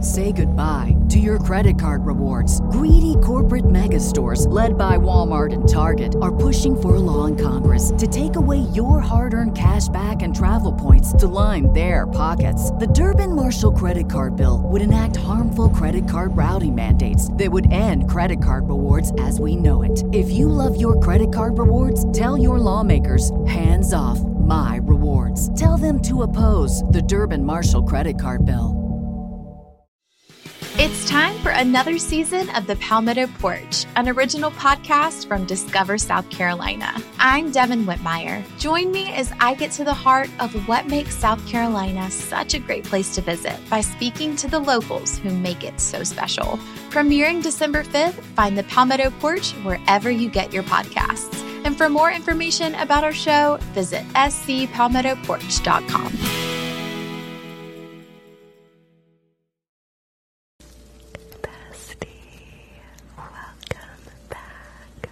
Say goodbye to your credit card rewards. Greedy corporate mega stores, led by Walmart and Target, are pushing for a law in Congress to take away your hard earned cash back and travel points to line their pockets. The Durbin Marshall credit card bill would enact harmful credit card routing mandates that would end credit card rewards as we know it. If you love your credit card rewards, tell your lawmakers hands off my rewards. Tell them to oppose the Durban Marshall credit card bill. It's time for another season of The Palmetto Porch, an original podcast from Discover South Carolina. I'm Devin Whitmire. Join me as I get to the heart of what makes South Carolina such a great place to visit by speaking to the locals who make it so special. Premiering December 5th, find The Palmetto Porch wherever you get your podcast. And for more information about our show, visit scpalmettoporch.com. Bestie, welcome back.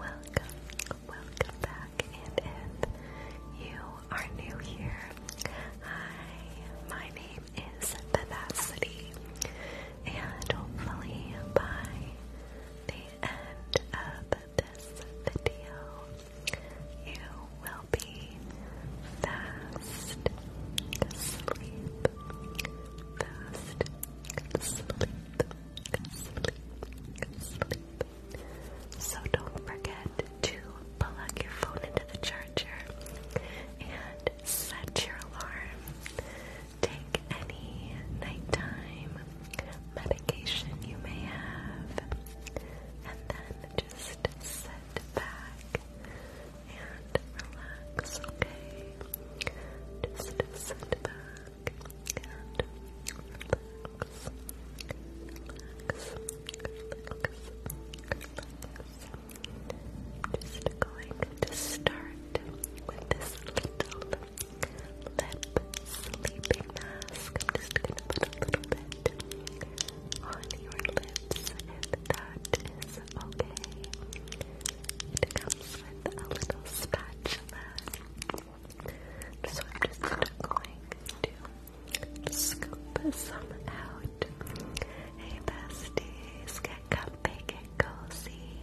Welcome, welcome back. And if you are new here, hi, my name is Vivacity. And hopefully by the end of this video, you will be fast asleep. Fast asleep. So don't forget to plug your phone into the charger and set your alarm take any nighttime medication you may have, and then just sit back and relax, okay? Just sit back and relax. Relax, relax, relax. Just going to start with this little lip sleeping mask. just gonna put a little bit on your lips if that is okay. It comes with a little spatula. So I'm just going to scoop some out. Hey besties, get comfy, get cozy.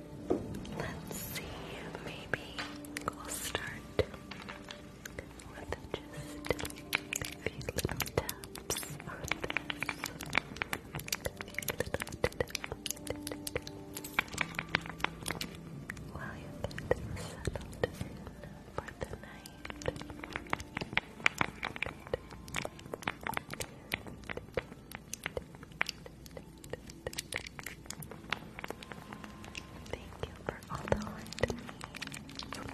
Let's see, maybe we'll start with just a few little taps on this. While you get in for the night. Thank you for all the light. Thank you.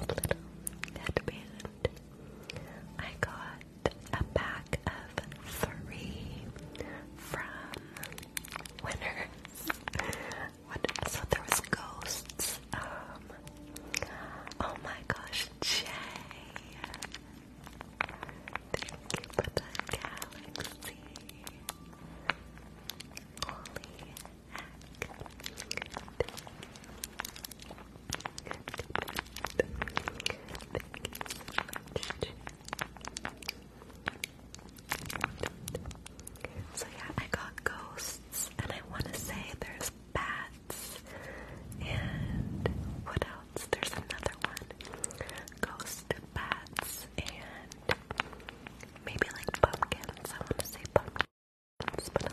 little headband I got a pack of three from winners. What? So there was ghosts. Um. Oh my gosh, Jay. Thank you for the galaxy. Holy heck. So yeah, I got ghosts, and I want to say there's bats, and what else? There's another one. Ghost, bats, and maybe like pumpkins. I want to say pumpkins, but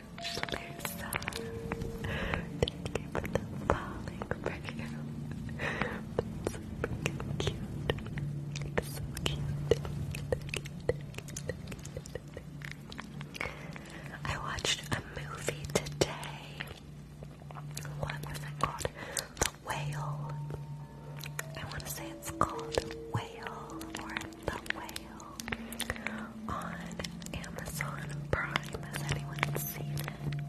Thank you for the falling prayer. That's freaking cute. It's so cute. I watched a movie today. What was it called? The Whale. I want to say it's called Whale or The Whale on Amazon Prime. Has anyone seen it?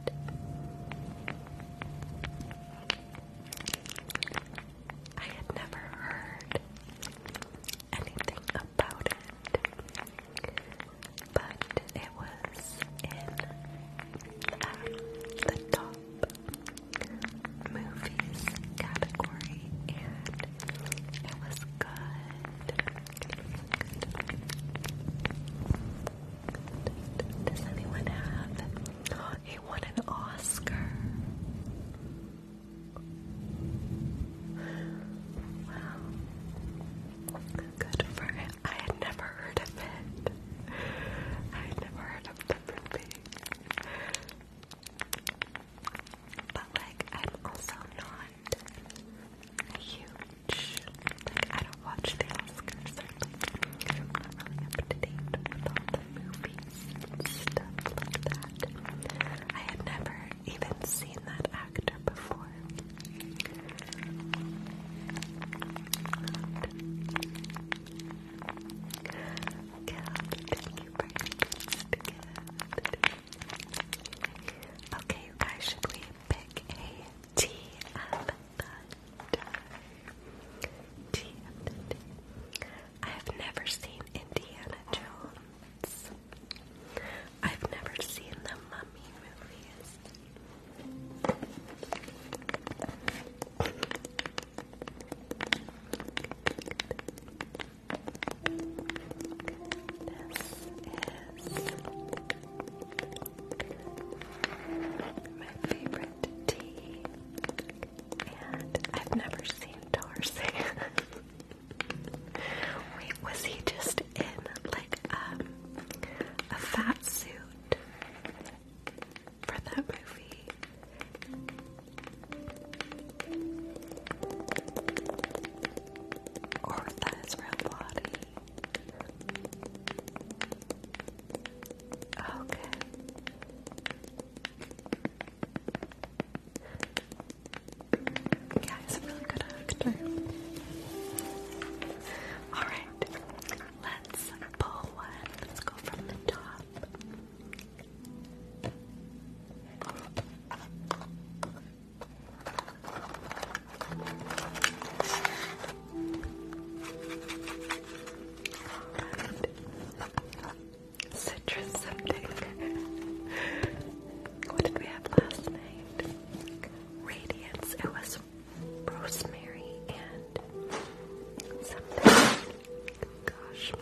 I had never heard anything about it, but it was in um, the top movies category, and it was good. Does anyone have a won an Oscar? Wow. Good for it. I had never heard of it. I had never heard of the movie. But like I'm also not not huge. Like, I don't watch the Oscars. So, I'm not really up to date with all the movies and stuff like that. I had never even seen that actor before. Caleb, thank you for your gift. Okay, you guys, should we pick a have never seen Indiana Jones. I've never seen the Mummy movies. This is my favorite tea. And I've never seen Darcy. Wait, was he just in like um a fat suit for that movie? or that his Okay. Yeah, he's a really good actor. Alright, let's pull one. Let's go from the top. Citrus something. what did we have last night? Radiance. It was rosemary and something. Gosh.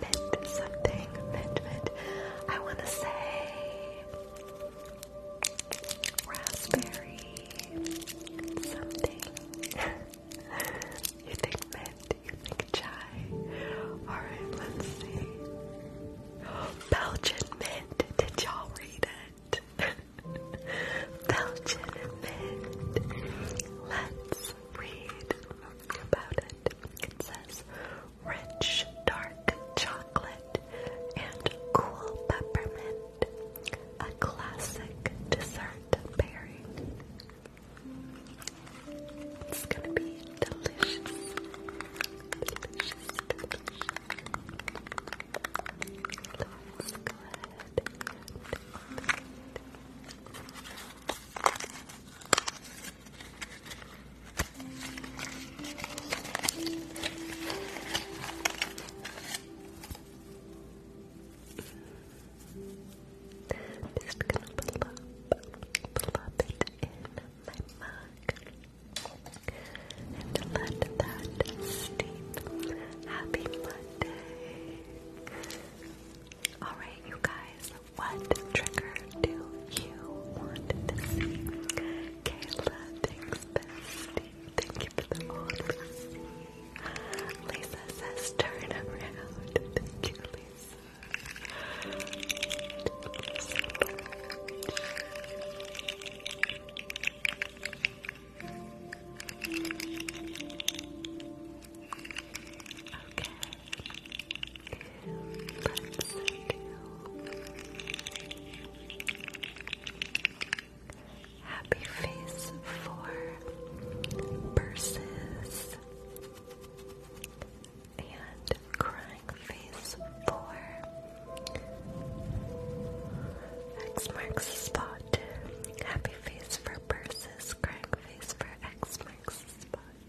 Mint something. Mint mint. I wanna say raspberry something. you think mint, you think chai. Alright, let's see. Belgian mint. Did y'all read it? Belgian mint. Let's read about it. It says rich dark chocolate, and cool peppermint, a classic dessert pairing. It's gonna be delicious. Delicious, delicious. Just gonna plop, plop it in my mug and let that steep. Happy Monday. Alright, you guys, what trigger do you want to see Kayla, thanks bestie. Thank you for the model. Lisa says turn around. Thank you, Lisa. Okay. Happy Face for versus and Crying Face 4. X marks the spot. Happy Face for versus Crying Face for X marks the spot.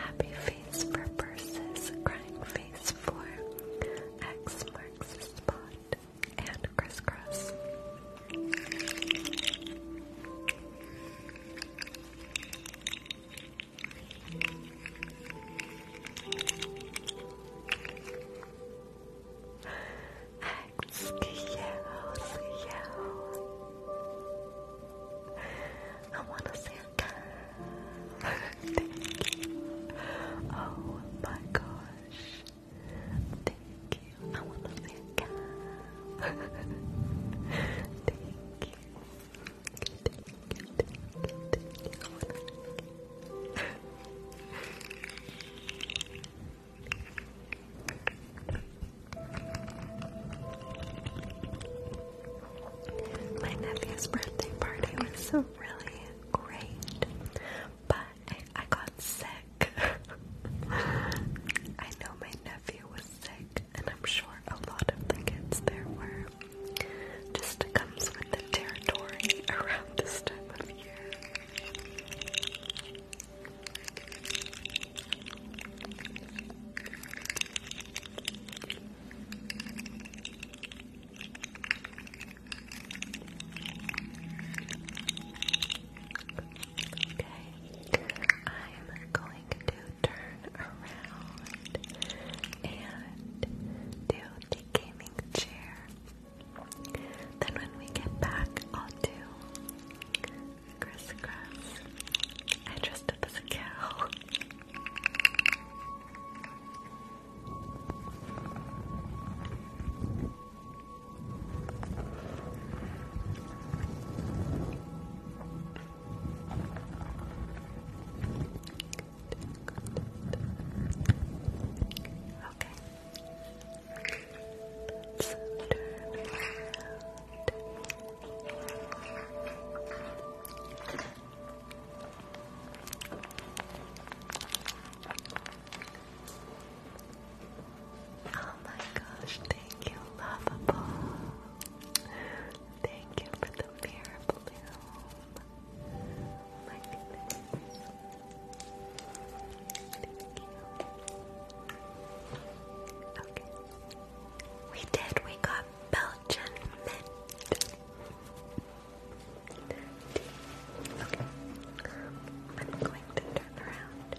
Happy face for purses, crying face for X marks the spot, and crisscross. I want to say thank you. Oh my gosh. Thank you. I want to say thank you. Thank you. Thank you. Thank you. My nephew's birthday party was really great, but I got sick. I know my nephew was sick, and I'm sure a lot of the kids there were. Just comes with the territory around this time of year. Okay, I'm going to turn around and do the gaming chair. Then, when we get back, I'll do crisscross. I dressed up as a cow. Okay, Oh my gosh, thank you, Lovable. Thank you for the mirror bloom. my goodness. Thank you. We did, we got Belgian mint. Okay. I'm going to turn around.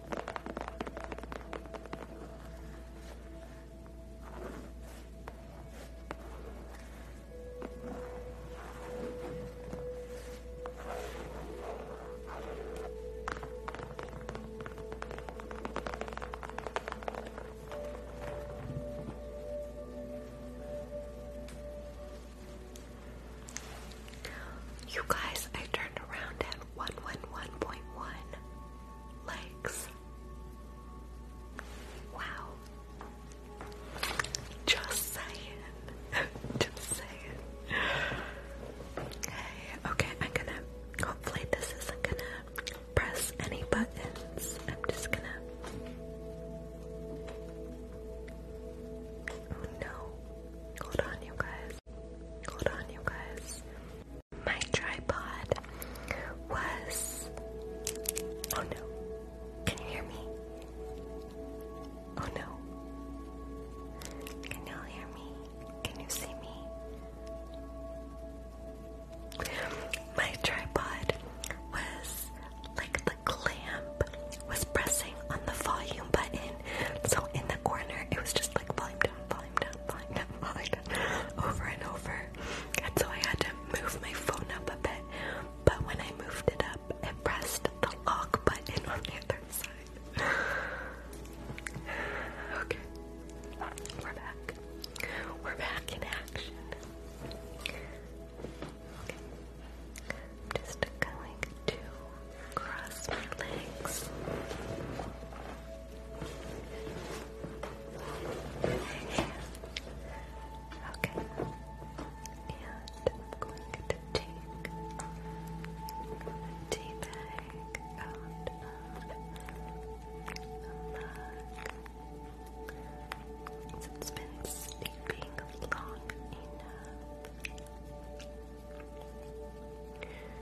You guys, I turned around at 111.1 legs. Wow. Just saying. Just saying. Okay, okay, I'm gonna. Hopefully, this isn't gonna press any buttons. I'm just gonna. Oh no. Hold on, you guys. Hold on, you guys my tripod was. Oh no. Can you hear me? Oh no. Can you hear me? Can you see me? My tripod was like the clamp was pressing on the volume button. So in the corner, it was just like over and over. And so I had to move my phone up a bit. But when I moved it up, it pressed the lock button on the other side. okay. We're back. We're back in action. just going to cross my legs. Okay. And I'm going to take tea bag out of the mug. it's been sleeping long enough.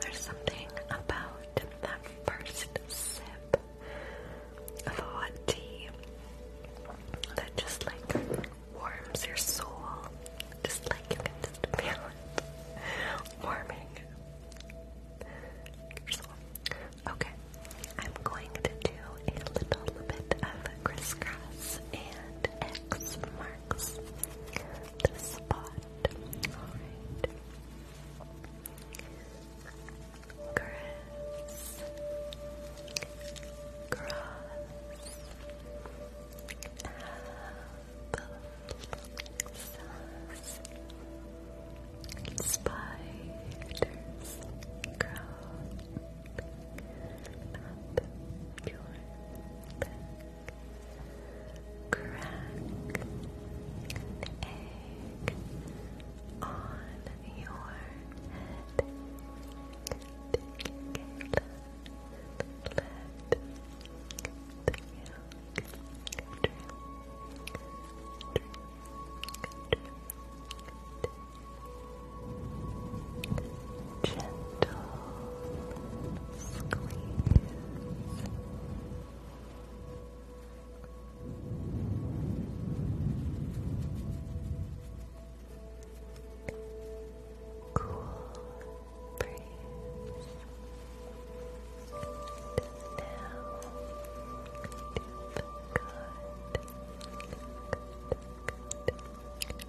There's something about that first sip of hot tea that just like warms your soul. Just like you can just feel it warming your soul. Okay, I'm going to a little bit of crisscross and X marks the spot. Alright. Criss, cross, apple, sauce, spiders, up your Crack egg on your head. Take it let the milk drip, drip, drip, drip, Gentle squeeze. Cool breeze. now, deep, good,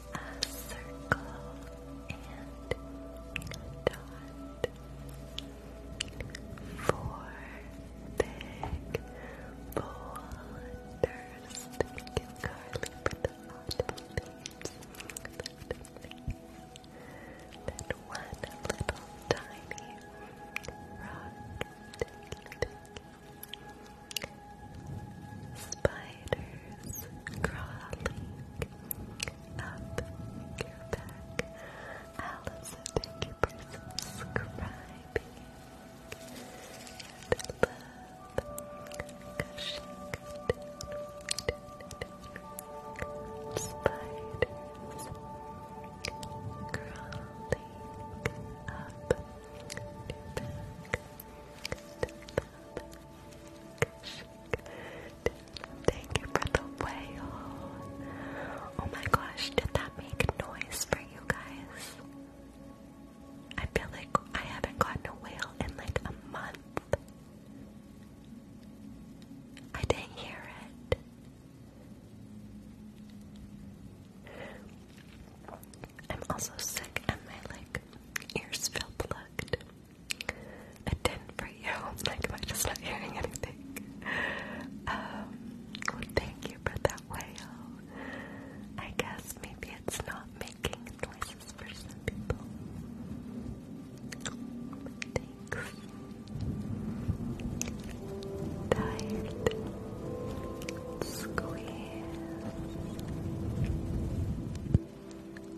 a circle and dot. Four big boulders that can curly with the bottom one little tiny rock. Spider spiders crawling up your back. Alice, thank you for subscribing. And love gushing spiders crawling up your back. Down, down, down, Thank you for the whale. Oh my gosh, did that make noise for you guys? I feel like I haven't gotten a whale in like a month. I didn't hear it. I'm also sick and my like ears feel plugged a 10 for you. Like, am I just not hearing anything? Um, well, thank you for that whale. I guess maybe it's not making noises for some people. Thanks. Tired. Squeeze.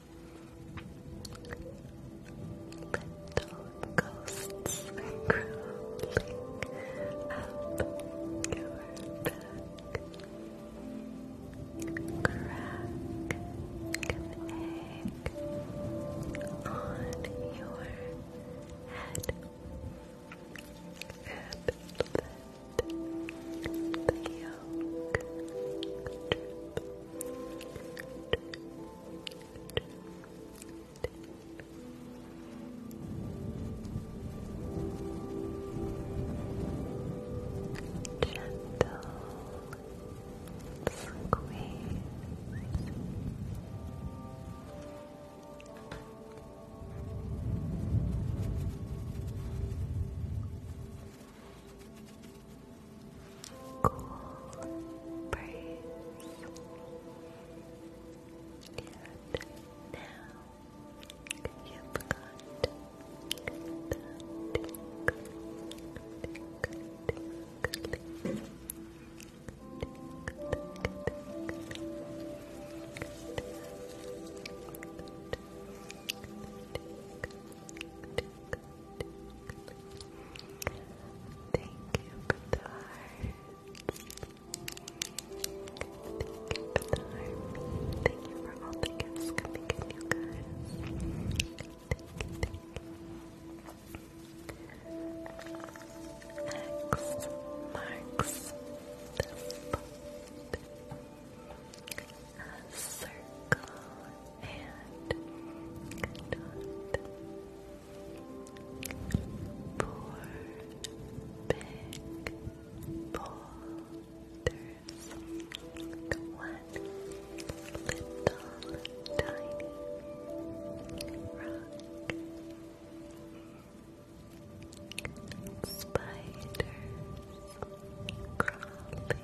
Little ghosts crawling up your back. Crack an egg on your head. And let yolk. Gentle squeeze cool breeze. And now you've got the Thank you for Thank you for Thank you for all the gifts coming in, you guys. X marks the spot a circle and dot. Four big boulders, one little tiny rock. Spiders crawling up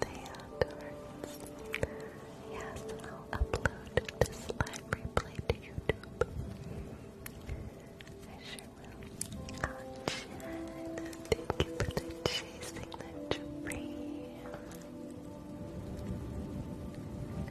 the hand arts. Yes, I'll upload this live replay to YouTube. I sure will. Oh, Jen, thank you for the chasing the dream.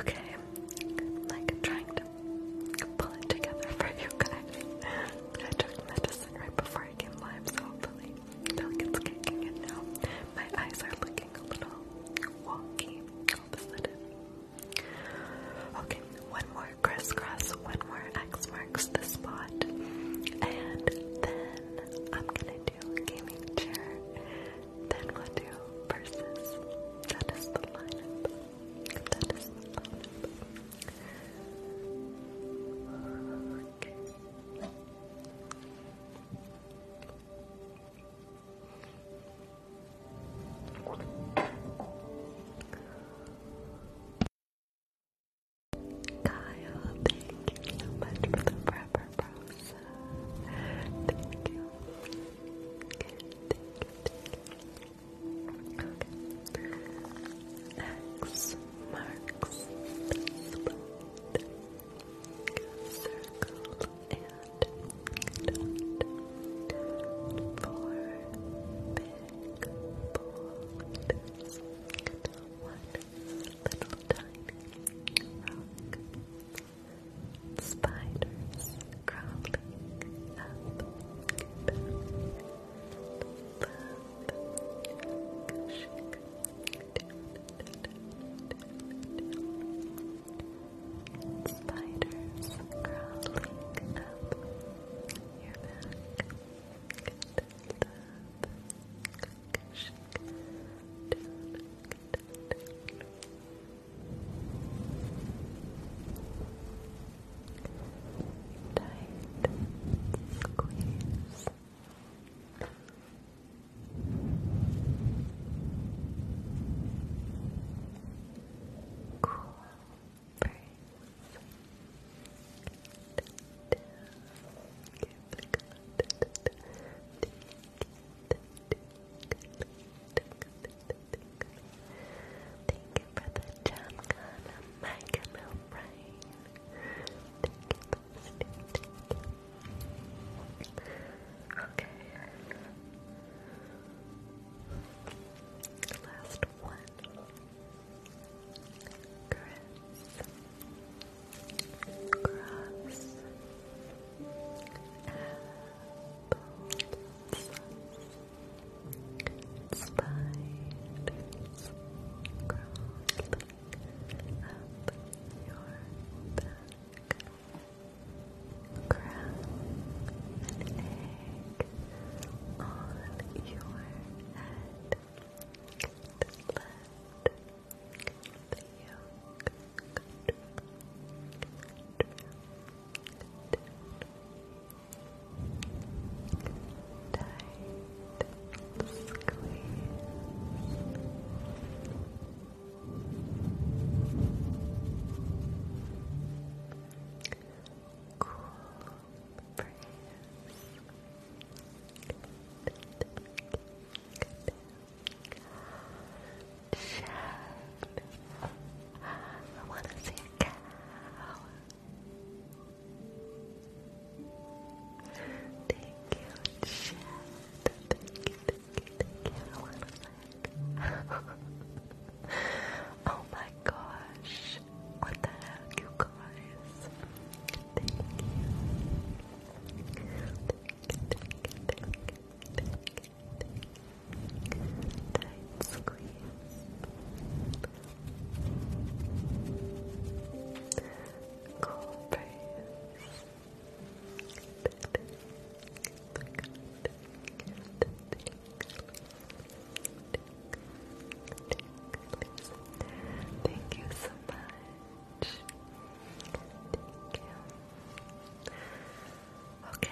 Okay, I'm trying to pull it together for you guys. I took medicine right before I came live, so hopefully milk kicking in now. My eyes are looking a little wonky of a sudden. Okay, one more crisscross, one more X marks the spot, and then I'm gonna do do gaming chair, then we'll do versus. That is the lineup. That is the lineup. Okay. Kyle, thank you so much for the forever process. Thank you. X marks the spot. Circle and Four big balls. One little tiny Spiders crawling up your back squeeze. Cool breeze. Down, you for the jam gun, Mike Lil Brain. Thank you Okay. Last one. Chris. Grass. Apples. Spiders. Crawling up your back. Grab an egg on your head. Cool breeze. Shed. I want to see a cow. Thank you, Shed. Thank you, thank you, thank you. I want to see Oh my gosh. What the heck, you guys? Thank you squeeze. Cool breeze. Thank you so much. Thank you. Okay,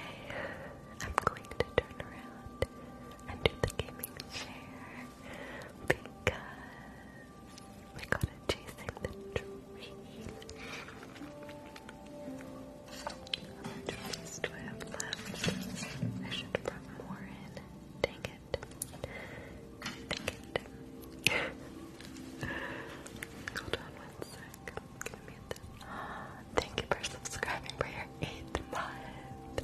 I'm going to turn around and do the gaming chair because we got it chasing the dream. How much space I have left? I should have more in. Dang it. Hold on one sec. I'm gonna Thank you for subscribing for your eighth month.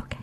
Okay,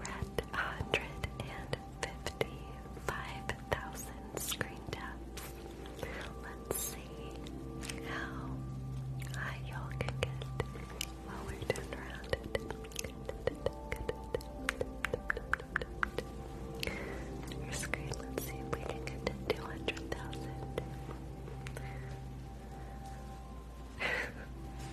we 155,000 screen Let's see how high y'all can get while we're turned around it. screen, let's see if we can get to 200,000.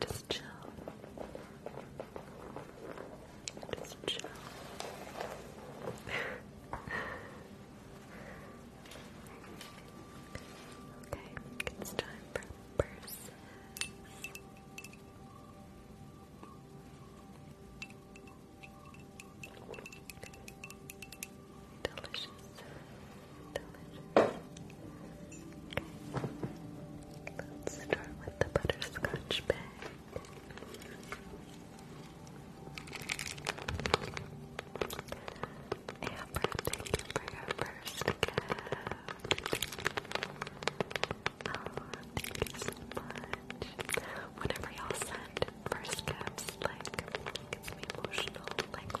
Just chill. Just chill. okay, it's time for purses delicious, delicious. Let's start with the butterscotch bag. Amber, thank you for first gift. Oh, thank you so much. Whenever y'all send first gifts, like, it gets me emotional, like,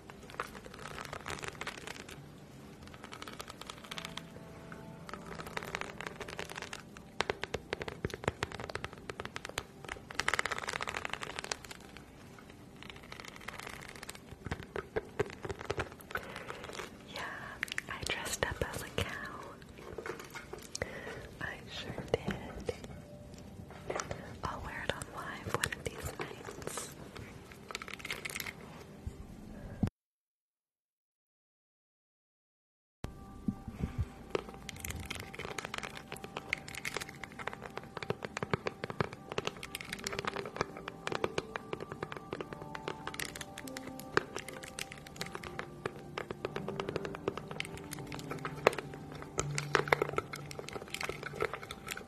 Yeah, I dressed up as a cow. I sure did. I'll wear it on live one of these nights.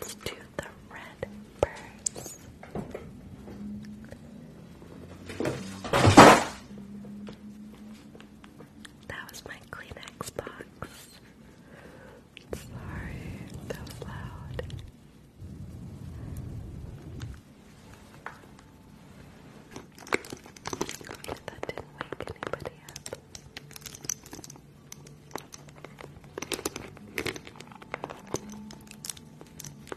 Let's do the red that was my Kleenex box. Sorry, that was loud. that didn't wake anybody up.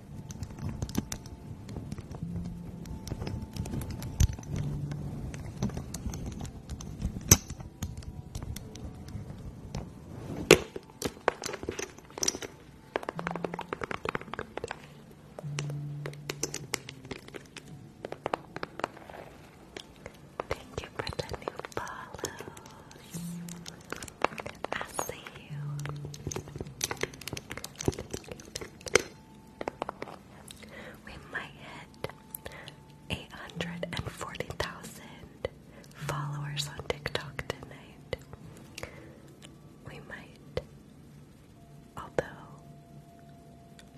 Thank you for the new follows. I see you. We might hit 840,000 followers on TikTok tonight. We might. Although,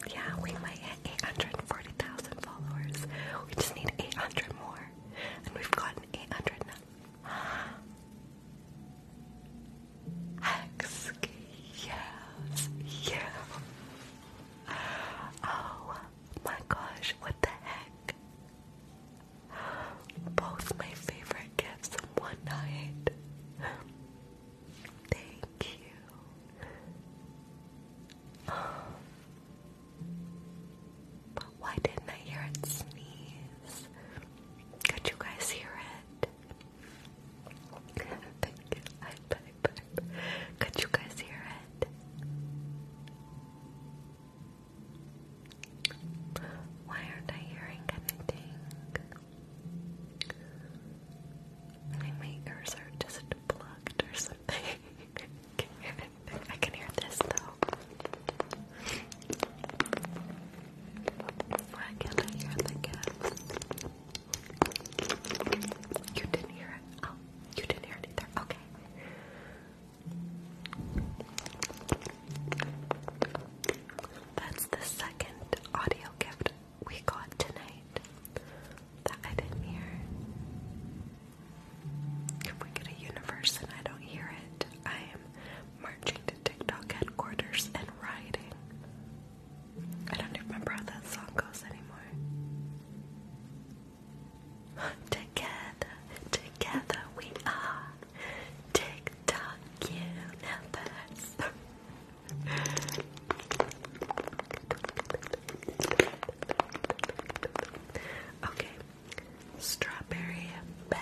yeah, we might hit 840,000 followers. We just need 800 more. And we've gotten 800 now. Excuse you. Oh my gosh, what the heck? Both my favorite gifts in one night. Thank you. But why didn't I hear it sneeze? Could you guys hear it? Could you guys hear it? Why aren't I hearing anything? my ears are just plugged or something. I can hear this though. You didn't hear it. Oh, you didn't hear it either. Okay. That's the second audio gift we got tonight that I didn't hear. If we get a universe and I don't hear it, I am marching TikTok headquarters and rioting. I don't even remember that song goes anymore. Together, together we are. TikTok universe. okay. Strawberry bag.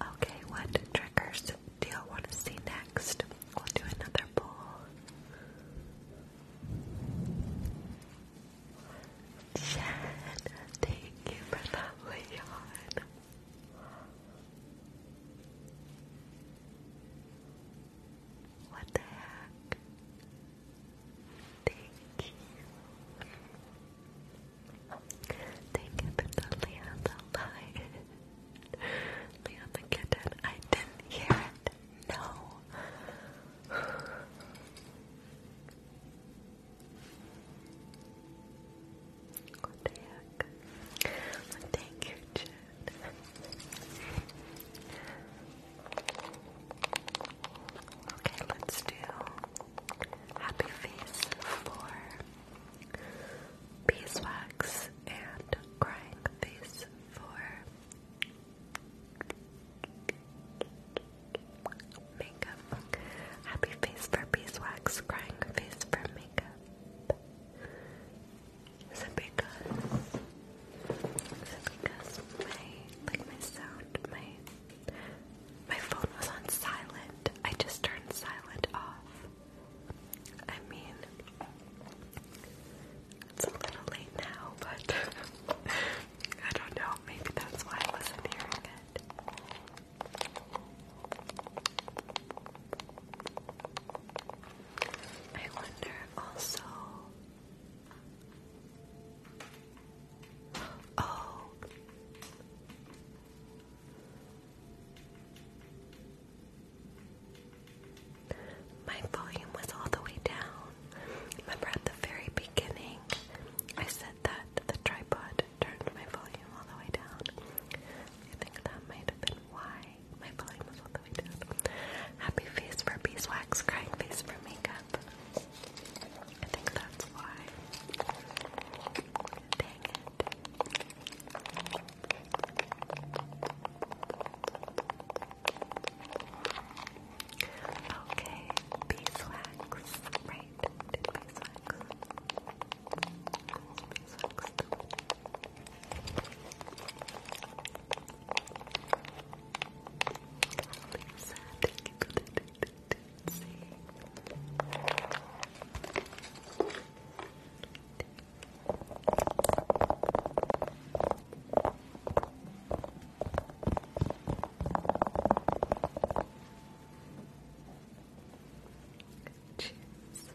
Okay, what triggers do you want to see next? We'll do another poll. Jen, you for that, Leon. What the heck? Thank you. you for the Leon, the Leon the kitten. I didn't hear it. No. What the heck? Well, oh, Okay, let's do happy face four beeswax and crying face for makeup. Happy face for beeswax, crying face for makeup. Is it because? Is it because my like my sound my my phone was on silent? I just turned silent off. I mean, it's a little late now, but I don't know. Maybe that's why I wasn't hearing it. I wonder also. Oh. My volume was all the way down. Remember at the very beginning, I said that the tripod turned my volume all the way down. I think that might have been why my volume was all the way down. Happy face for beeswax, crying face for makeup. I think that's why. Dang it. Okay, beeswax, right? Did beeswax? Beeswax. Lisa, thank you Cheers. Good soup.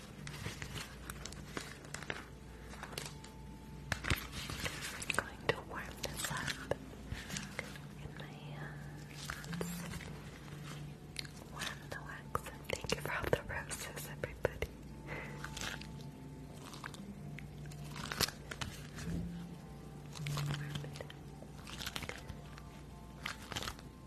I'm going to warm this up in my hands. Warm the wax thank you for all the roses, everybody.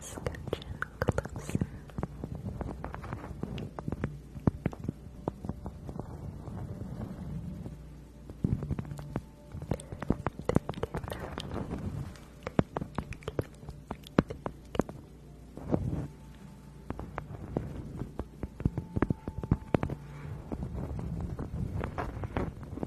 Sketch in Thank you.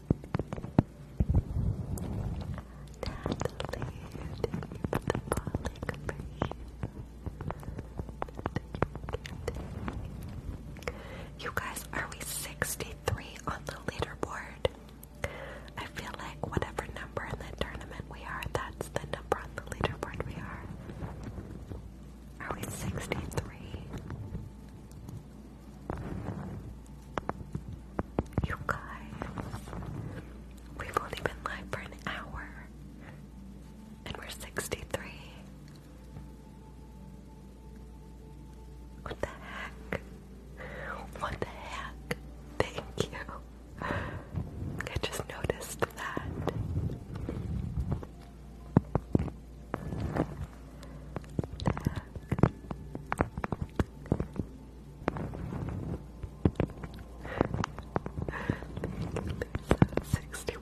You guys, are we 63 on the leaderboard? I feel like whatever number in the tournament we are, that's the number on the leaderboard we are. Are we 63? You guys, we've only been live for an hour and we're 63. What the heck? What the heck? Thank you. I just noticed that. 61 62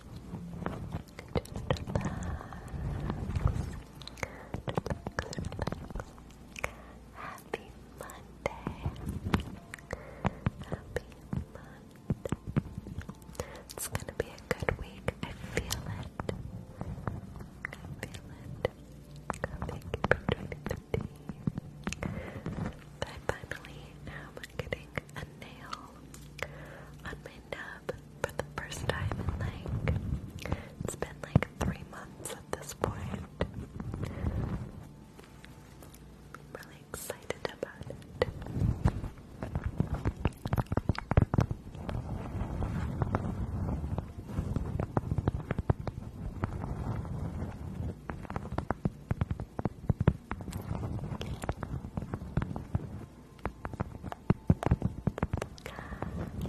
Happy Monday. Happy Monday. It's gonna be a good week. I feel it. I feel it. Thank you for joining the I finally am getting a nail on my nub for the first time like, it's been like three months at this point. I'm really excited about it.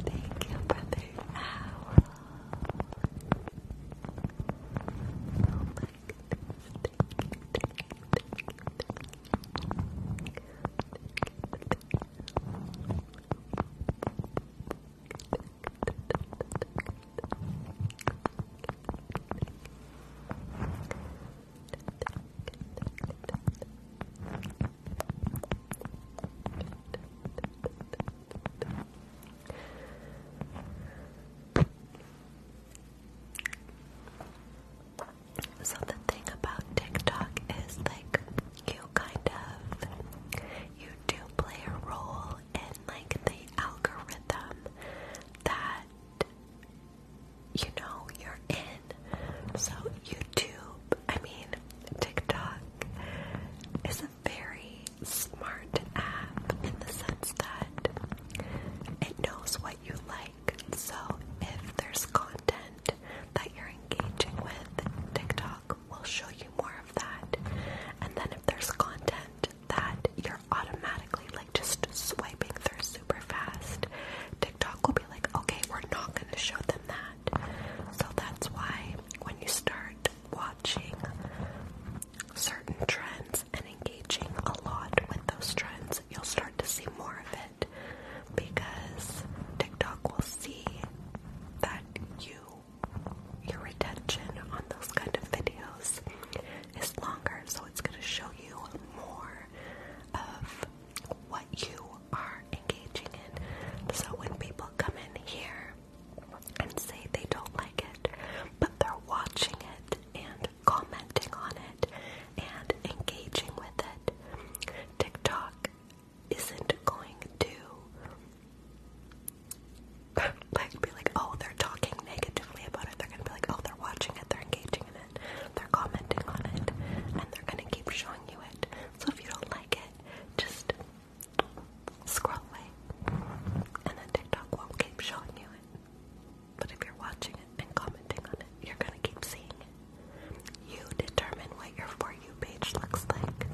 Thank you, brother Owl. So the thing about TikTok is like you kind of you do play a role in like the algorithm that you know you're in. So YouTube, I mean TikTok is a very smart app in the sense that it knows what you like. So if there's content that you're engaging with, TikTok will show you more of that. And then if there's content that you're automatically like just swiping through super fast, TikTok will be like, okay, we're not going to show them that. So that's why when you start watching certain trends and engaging a lot with those trends, you'll start to see more of it because TikTok will see that you your retention on those kind of videos is longer, so it's going to show you more of what you are engaging in. So when people come in here and say they don't like it, but they're watching it and commenting on it and engaging with it, TikTok isn't going to be like, oh, they're talking negatively about it. They're gonna be like, oh, they're watching it, they're engaging in they're commenting on it, and they're gonna keep showing you it. So if you don't like it, just scroll away, and then TikTok won't keep showing you it. But if you're watching it and commenting on it, you're gonna keep seeing it. You determine what your For You page looks like.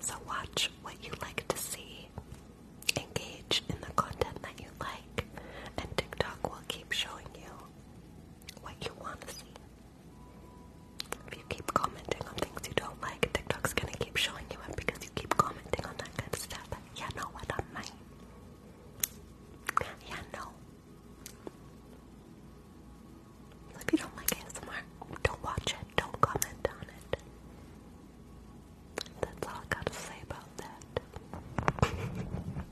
So watch what you like to see, engage in the content that you like, and TikTok will keep showing you what you want to see. If you keep commenting on things you don't like, TikTok's gonna keep showing you it because you keep commenting on that kind of stuff. You know what I mean? Yeah, no. if you don't like ASMR, don't watch it, don't comment on it. That's all I gotta say about that.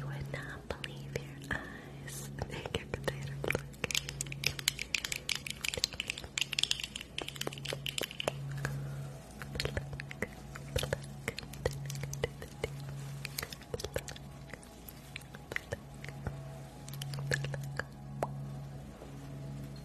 You would not believe your eyes. Thank you,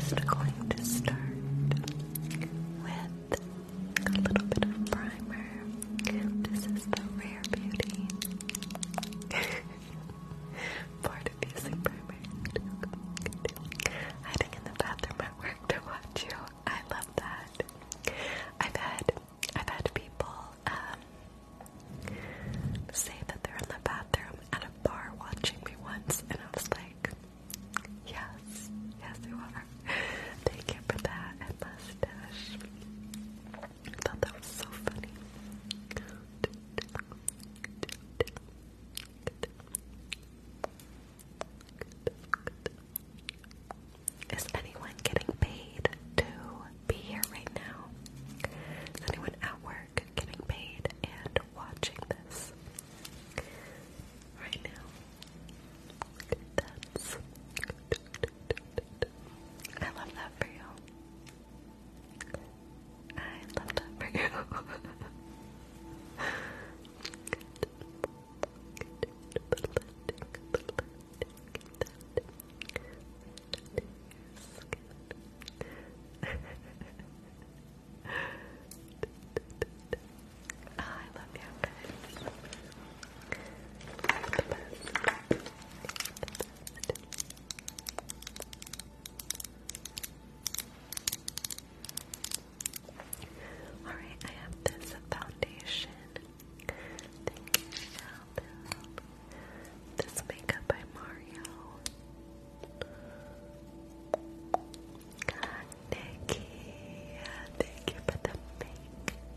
Just going to start with a little bit of primer. This is the Rare Beauty. Bored of you, Superman. Hiding in the bathroom at work to watch you. I love that. I've had I've had people um, say that they're in the bathroom at a bar watching me once, and I was like, yes, yes, you are. Thank you that, and mustache. I thought that was so funny. Is anyone getting paid to be here right now? Is anyone at work getting paid and watching this right now? That's I love that for you. I love that for you. I love you guys. Alright, I have this foundation. Thank you, Albert. This makeup by Mario. God, Nikki, thank you for the makeup.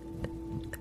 foundation and Good.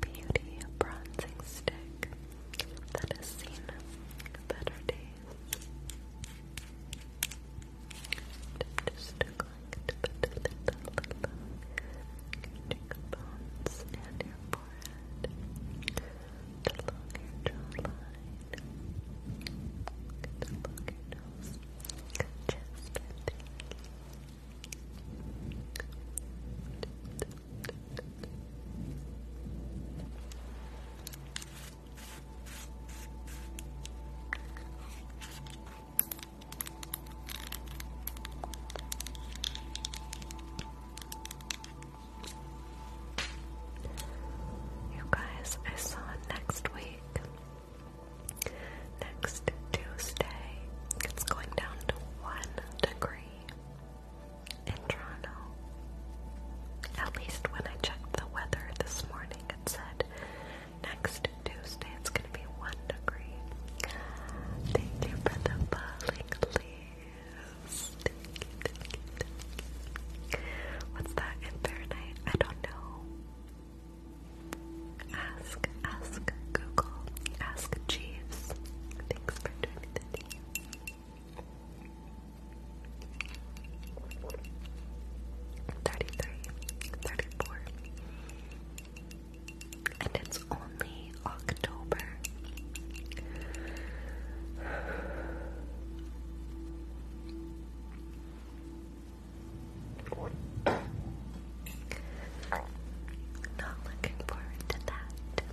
beauty bronzing stick that has seen better days. Just collect the little cheekbones and your forehead, along your jawline, along your nose, chest and you guys, I saw next week. Next Tuesday, it's going down to one degree in Toronto. At least when I checked the weather this morning, it said next Tuesday it's going to be one degree. Thank you for the falling leaves. What's that in Fahrenheit? I don't know. Ask ask Google, ask Jeeves. Thanks for doing that. 33, 34. And it's only October. Not looking forward to that. That's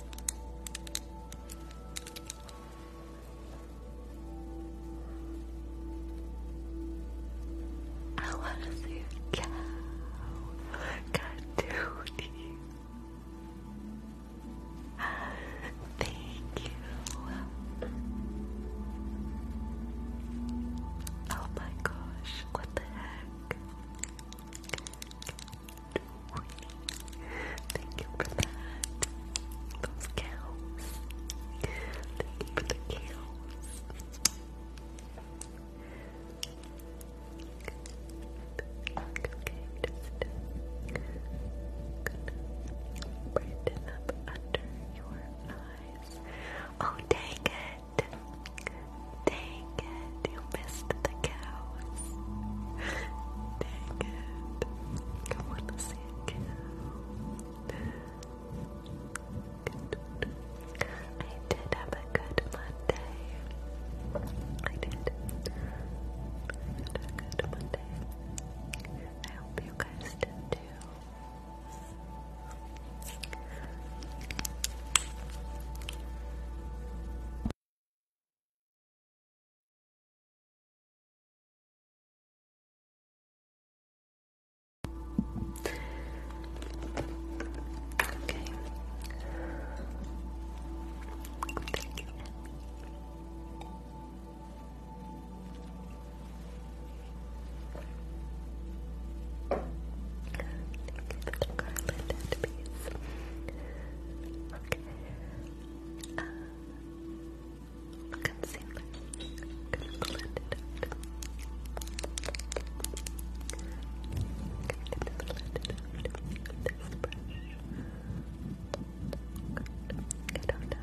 I want to see a cow. Got Thank you. Oh my gosh, what the heck? Thank you for that. Those cows. Thank you for the cows. Okay, just brighten up under your eyes. Oh, dang it. Dang it, you missed the cows. Dang it. I want to I did have a good Monday. I did. I had a good Monday. I hope you guys did too. Okay. Thank you, Thank you for the garland and piece. Uh, concealer. I'm gonna blend it out. I'm gonna blend it out with this brush. Good. I don't have sugar in my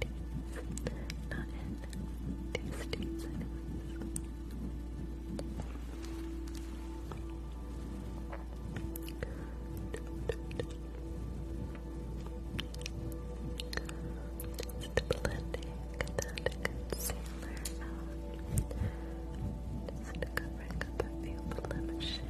teeth. Not in these teeth anyways. Just blending that concealer out. Just covering up a blemishes.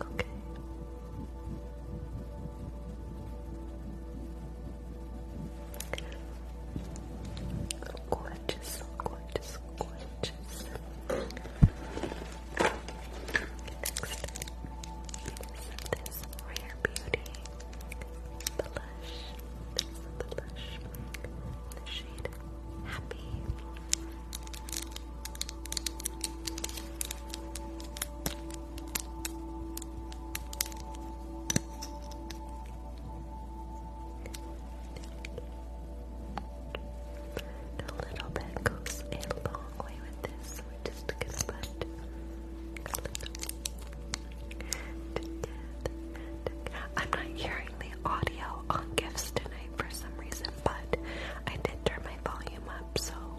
Okay. Gorgeous, gorgeous, gorgeous. Next this Rare Beauty blush. This blush in the shade Happy. A little bit goes a long way with this. we just gonna put I'm not hearing the audio on gifts tonight for some reason, but I did turn my volume up, so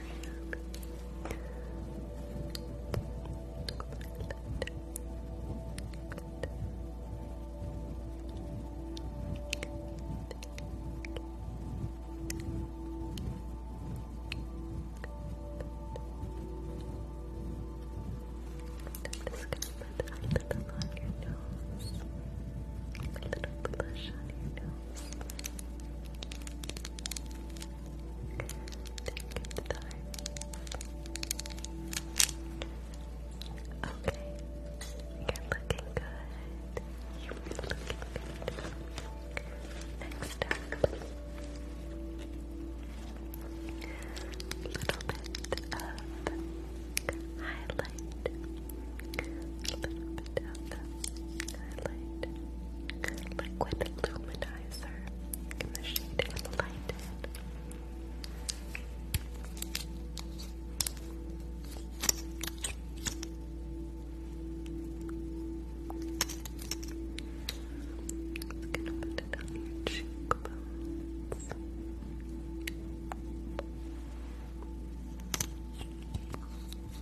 just gonna put a little on your nose. A little blush on your nose. Take Okay. You're looking good. You're looking good. Next up. A little bit of highlight tap highlight liquid luminizer in the shade Enlightened. Just gonna put it on your cheekbones.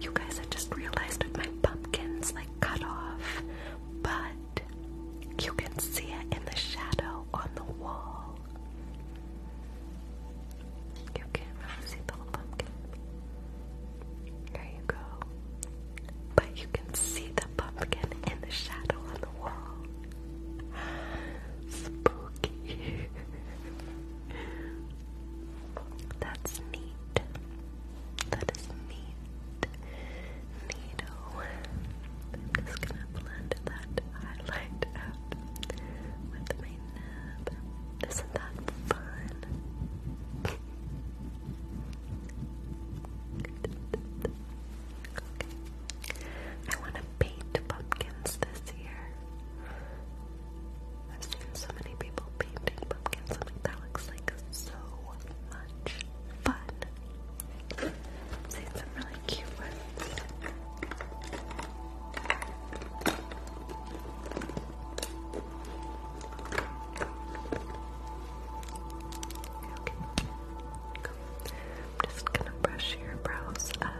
You guys, I just realized that my pumpkin's like cut off, but you can see it in the shadow on the wall. You can't see the whole pumpkin. There you go. But you can see the pumpkin in the shadow on the wall. Spooky. That's neat. That is neat. Neato. I'm just gonna blend that highlight out with my nib. Isn't that fun? I want to paint pumpkins this year. I've seen so many people painting pumpkins. i like, that looks like so much fun. I've seen some really cute ones. I'm just gonna brush your brows up.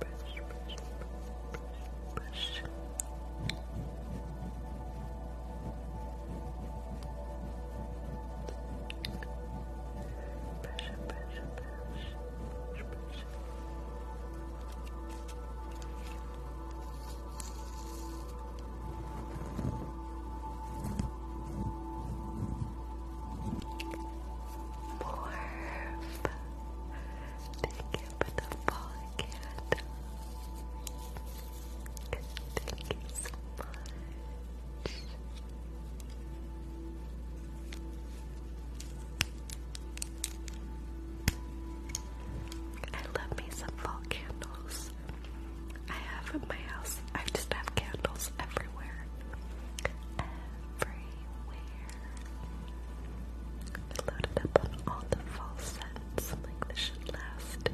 Brush, brush, brush, brush. Brush, brush, brush, brush, brush. Morph. Thank you for the follow, Thank you so much. I love me some fall candles. I have in my house, I just have candles everywhere. Everywhere. loaded up on all the fall scents. like, this should last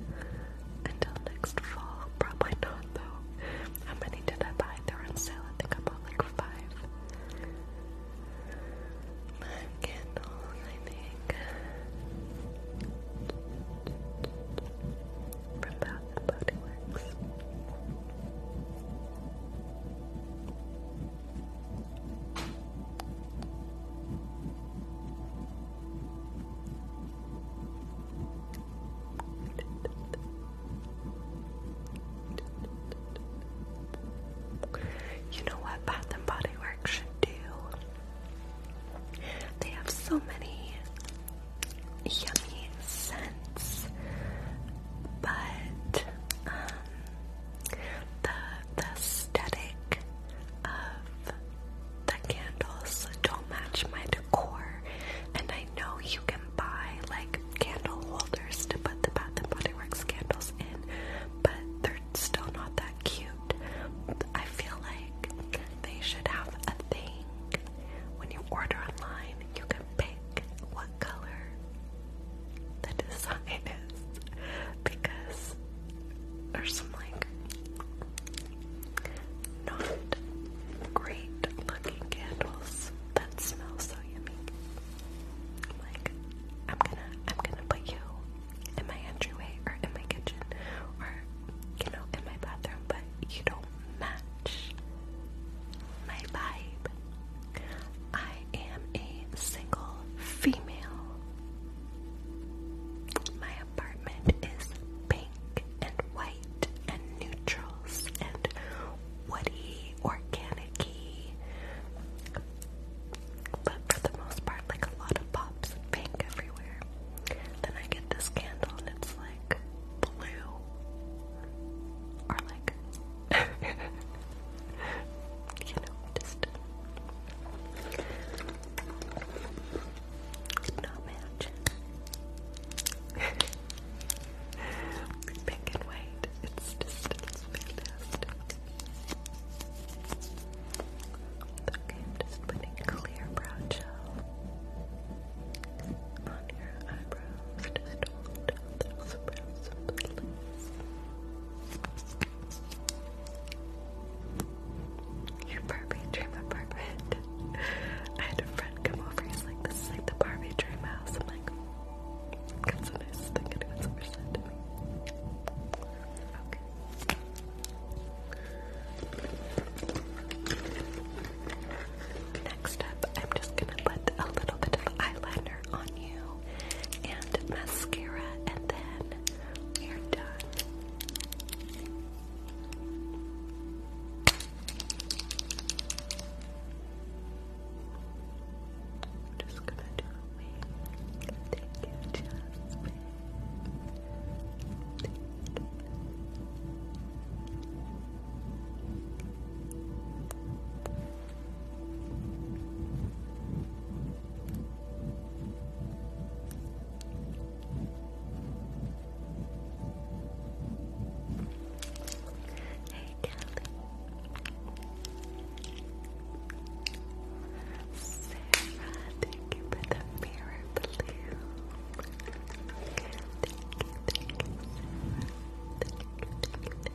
until next fall. Probably not, though. How many did I buy? They're on sale. I think I bought like five candles, I think. From Bath Body Works. You know what Bath and Body Works should do? They have so many yummy scents, but um, the, the aesthetic of the candles don't match my decor, and I know you can buy like candle holders to put the Bath and Body Works candles in, but they're still not that cute. I feel like they should have a thing. When you order online, you can pick what color the design is because there's some like not great looking candles that smell so yummy. Like, I'm gonna, I'm gonna put you in my entryway or in my kitchen or, you know, in my bathroom, but you don't match my vibe. I am a single female. My apartment is pink and white and neutrals and woody, organic but for the most part, like a lot of pops of pink everywhere. Then I get this candle and it's like blue. Or like, you know, just not match. pink and white. It's just, it's fantastic. Okay, I'm just putting clear brow gel on your eyebrows. Just hold down those brows Your Barbie dream apartment. I had a friend come over. He's like, "This is like the Barbie dream house." I'm like, "That's a nice thing." It was ever said to me. Next up, I'm just gonna put a little bit of eyeliner on you and mascara, and then we're done just gonna do a wing. Thank you, Jasmine. Thank you. Hey, Sarah, thank you for the mirror blue. Thank you, thank you, Sarah. Thank you, thank you, thank you.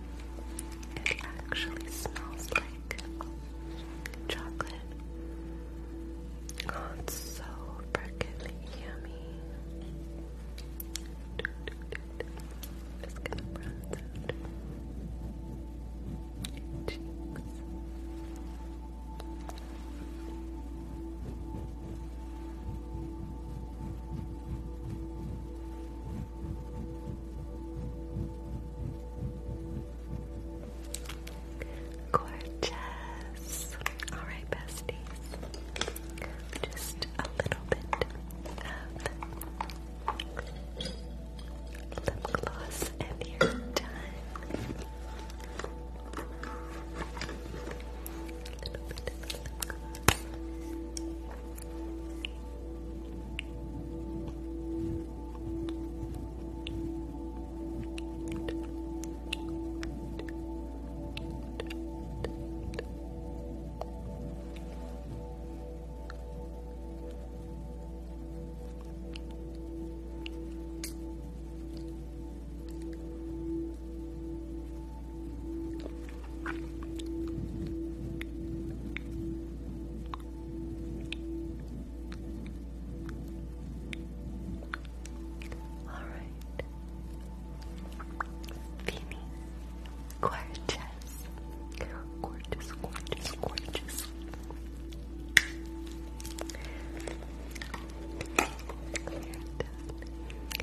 It actually smells like chocolate. it's so freaking yummy. Just gonna bronze out cheeks. Gorgeous. Alright, besties. Just a little bit of lip gloss and you're done a little bit of a Good. All right. Beanie. Gorgeous. Gorgeous, gorgeous, gorgeous. Done.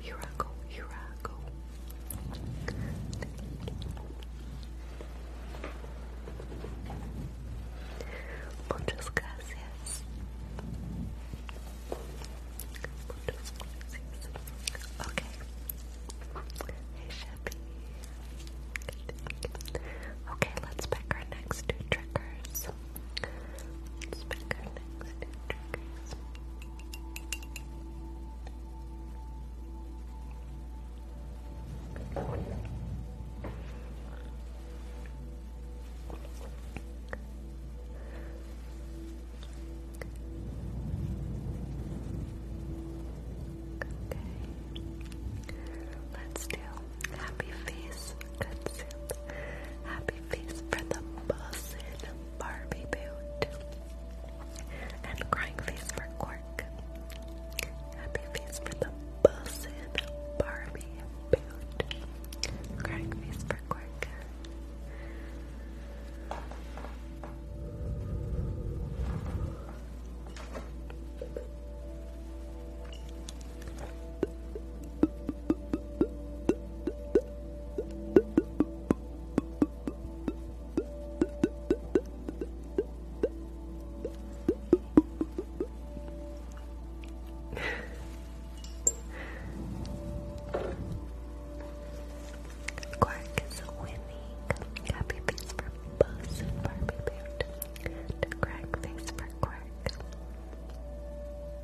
here I go, here I go. Muchas gracias. Okay. Hey, Shabby. Okay, let's pick our next two triggers. Let's do happy face. Good soup. Happy face for the bossin. Barbie Boot, and Crying Face for Cork. Happy Face for the Bussin Barbie Boot, Crying Face for Cork. Quark is winning. Happy face for Buzz and Barbie Bear. And crack face for Quark.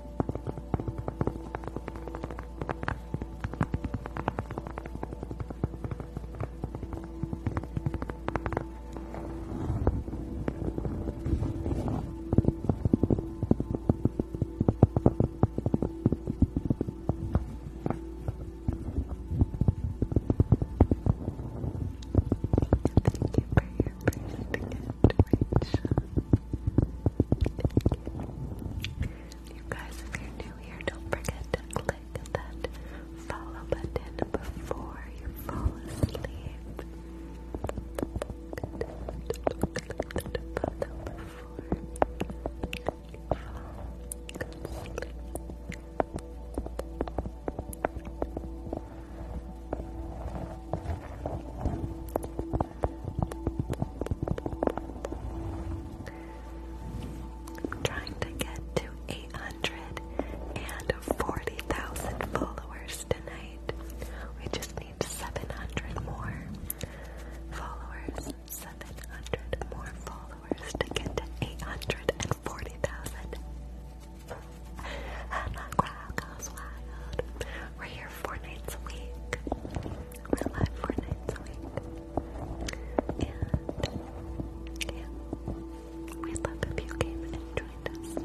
Thank you for your first gift, Rachel. You guys, if you're new here, don't forget to click that follow button before you fall asleep trying to get to 840,000 followers tonight. We just need 700 more followers. 700 more followers to get to 840,000. And the crowd goes wild. We're here four nights a week. We're live four nights a week. And we'd love if you came and joined us.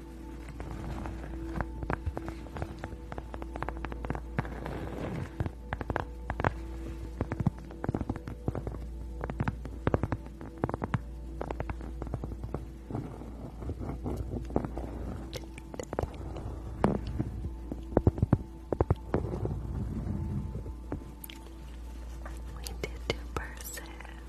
We did two purses.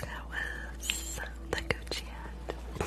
That was the Gucci hat.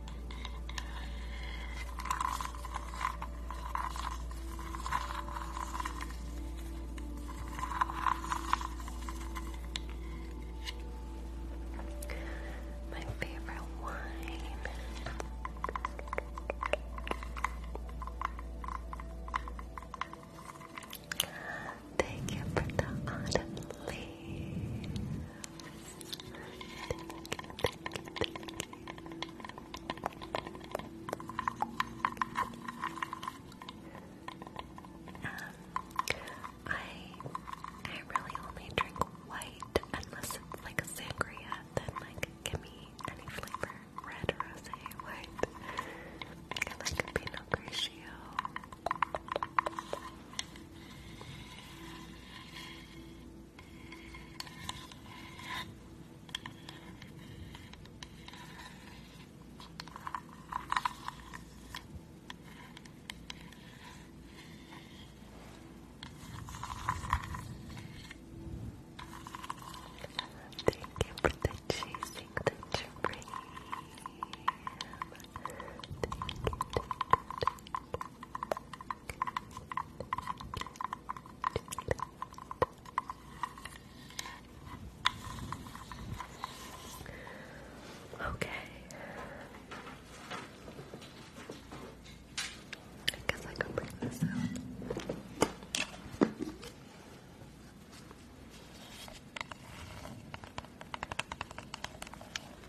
My favorite wine. Thank you for the autumn um, I I really only drink white unless it's like a sangria. Then like give me any flavor, red, rosé, white. I like a Pinot Grigio. Thank you for the chasing the dream. Okay. I I can bring this out.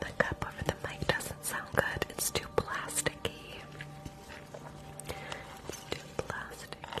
The cup over the mic doesn't sound good, it's too plasticky. too plasticky.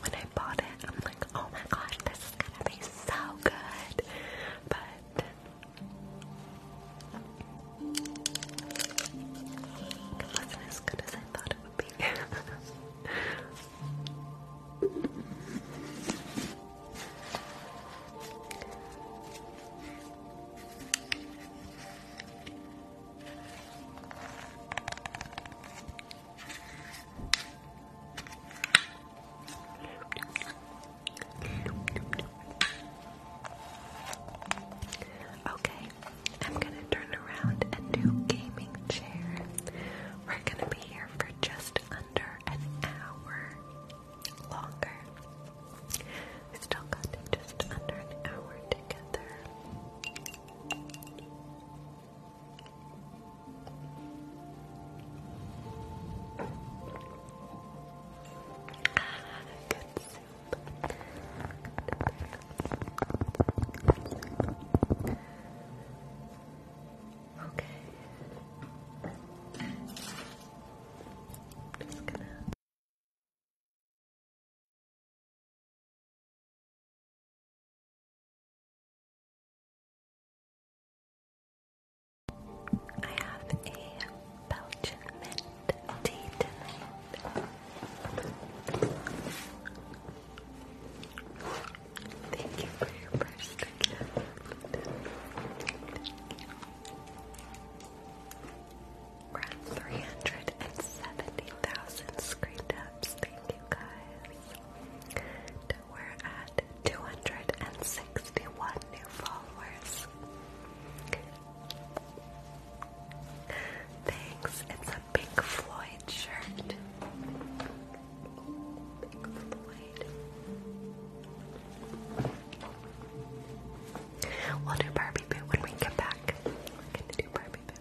when I bought it, I'm like, oh my gosh, this is gonna be so good. But it wasn't as good as I thought it would be. Okay, I'm gonna turn around and do gaming chair. We're gonna be here for just under an hour longer. We still got just under an hour together. Good soup. Good soup. Okay. Just gonna I have a Belgian mint tea tonight. Thank you for your first gift. Around 370,000 screen taps guys. We're at 261 new followers. Thanks, it's a Pink Floyd shirt. We'll do Barbie Boo when we get back. We're gonna do Barbie Boo.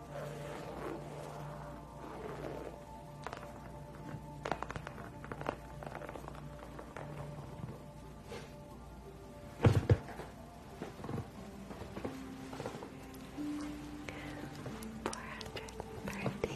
413,000 times. Thank you. Thank you.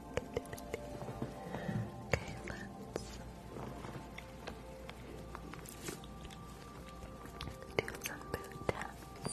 Okay, let's do some boot taps.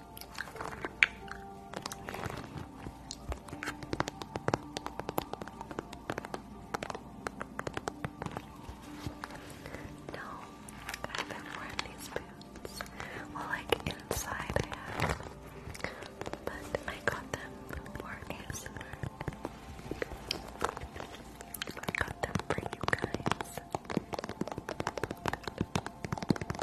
No, I've been wearing these boots. Well, like inside I have, but I got them for ASMR. I got them for you guys.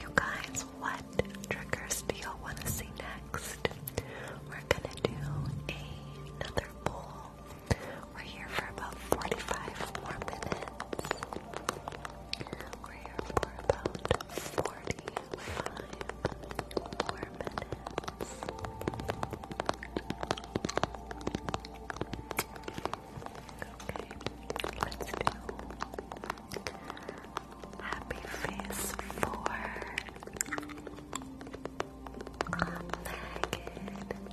You guys, what triggers do y'all want to see next? We're gonna do another poll we're here for about 45 more minutes. We're here for about 45 more minutes. let's do Happy Face 4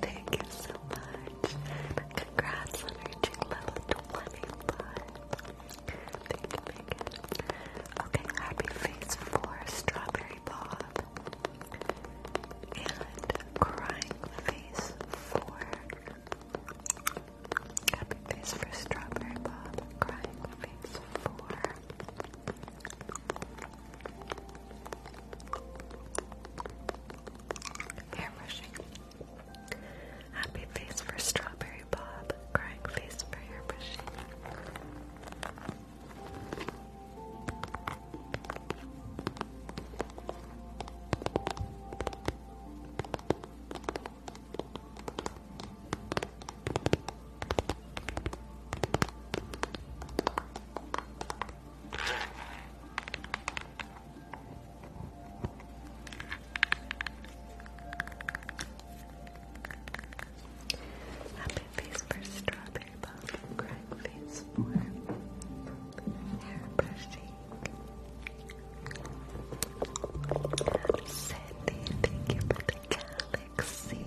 thank you so much. Congrats on reaching level 25. Thank you, Megan. Okay, happy face for Strawberry Bob. And crying face for happy face for Strawberry Bob. Crying face for Hair brushing. Happy face for Strawberry Bob. Crying face for hair brushing. Happy face for strawberry bomb, crying face for hair brushing. thank you for the galaxy.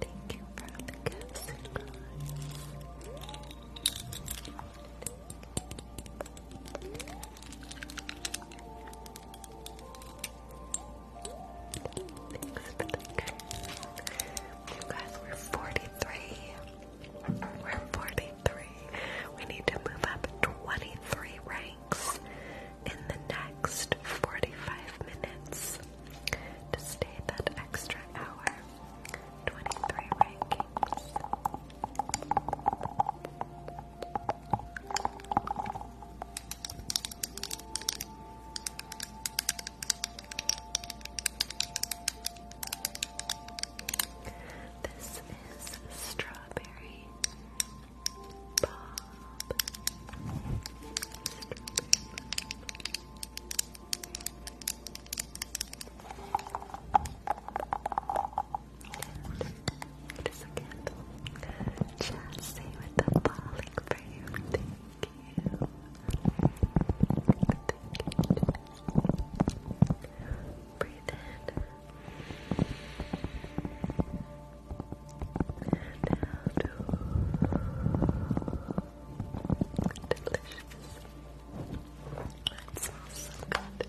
Thank you for the gifts, Thanks for You guys, we 43. We're 43. We need to move up 23 ranks in the next 45 minutes to stay that extra hour. 23 rankings. This is strawberry bob. What is a candle? the falling frame. Thank you. Thank you. Breathe in. And out. Delicious. It smells so good.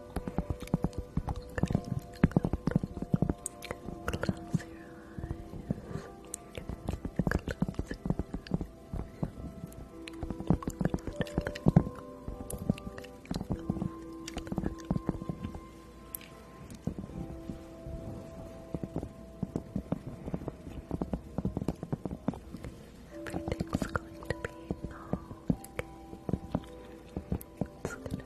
Close your eyes. Everything's going to be okay. It's gonna be okay.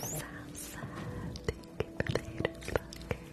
Salsa, thank you for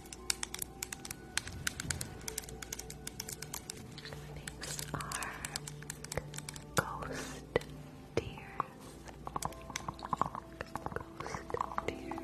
These are ghost tears. Ghost tears.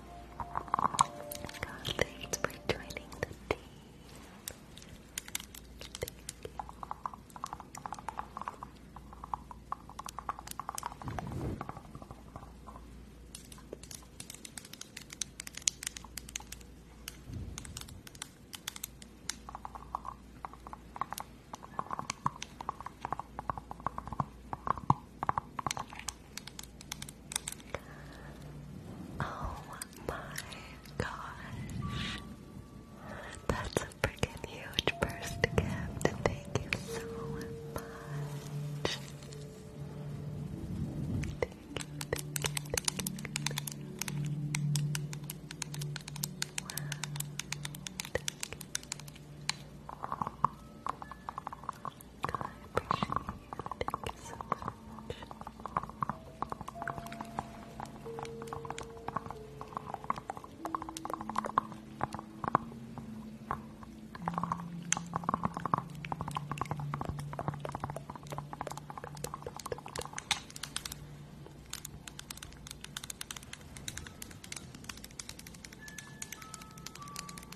Thanks for joining the team. Oh my gosh. That's a freaking huge first gift. Thank you so much. Thank you. I appreciate you. Thank you so much.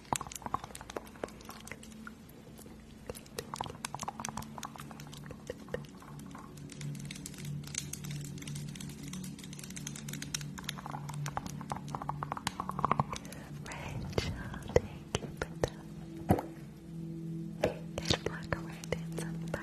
Rachel, thank you for that. Get black away, dance and pipe.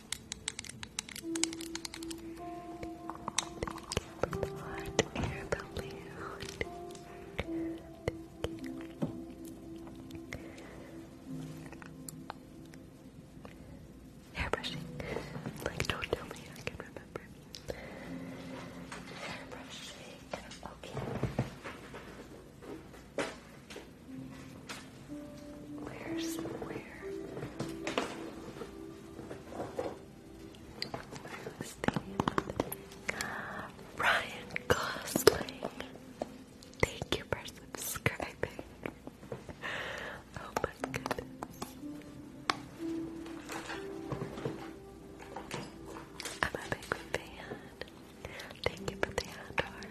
Hair brushing. Like, don't tell me I can remember. Hair brushing. Okay. Where's where? Ryan Gosling? Thank you for subscribing. Oh I'm a big fan. Thank you for the outdoor.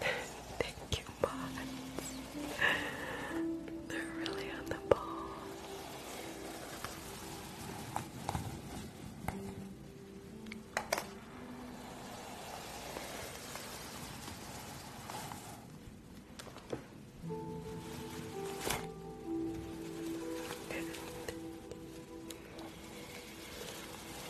Thank you, bots. They're really on the ball.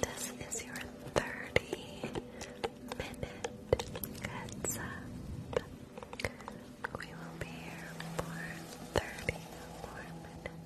This is your 30 minute heads We will be here for 30 more minutes.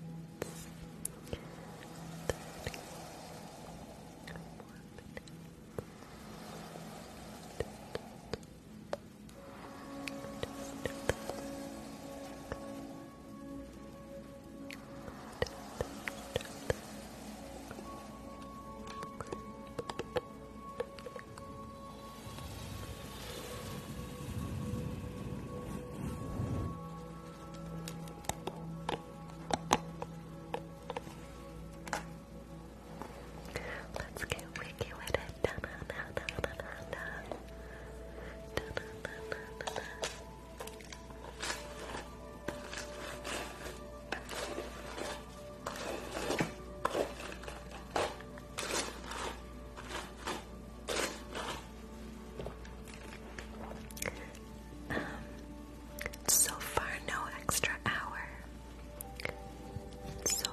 Let's get wicked with it. Da, um, so far, no extra hour. So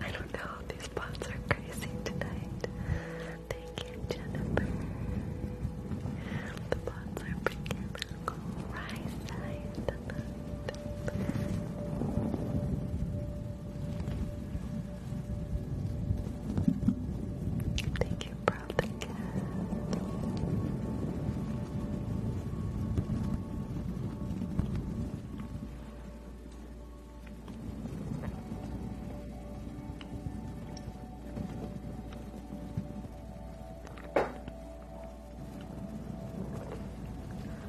I don't know, these bots are crazy tonight. Thank you, Jennifer. The bots are bringing the rise tonight. Thank you, bro. Thank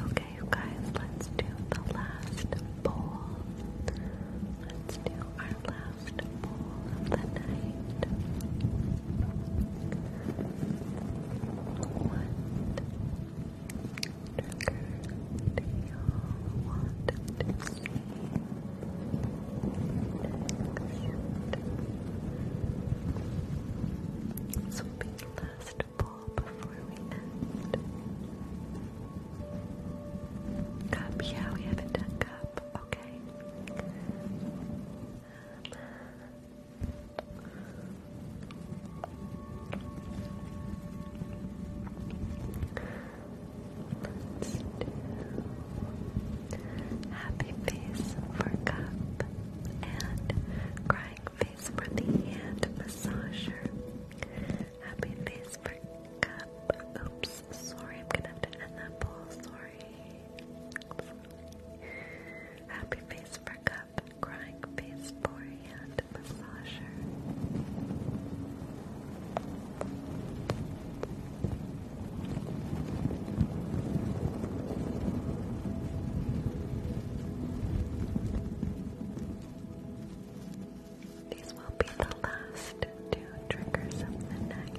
Okay, you guys, let's do the last bowl. Let's do our last bowl of the night. One, Trigger, you be the last pull before we end. Cup, yeah, we haven't done cup, okay happy face for cup and crying face for the hand massager. Happy face for cup. Oops, sorry, I'm gonna have to end that poll. Sorry. sorry. Happy face for cup crying face for hand massager. These will be the last two triggers of the night.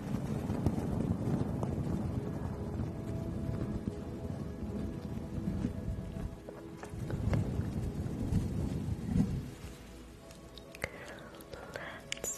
Let's break out. They have massage.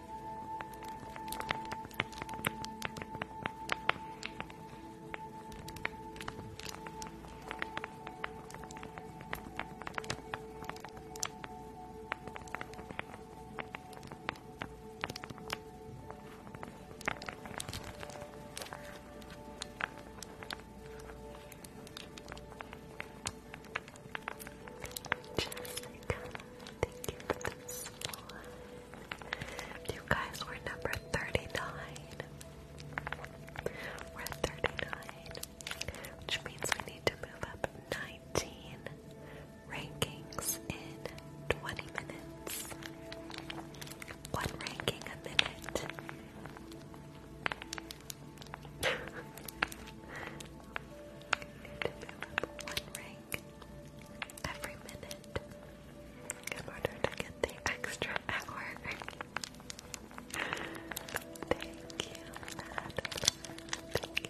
Jessica, Thank you for this one. guys number 39. We're at 39, which means we need to move up 19 rankings in 20 minutes. One ranking a minute. need to move up one ranking every minute in order to get the extra hour. Thank you, Madeline. Thank you for the public Thank you.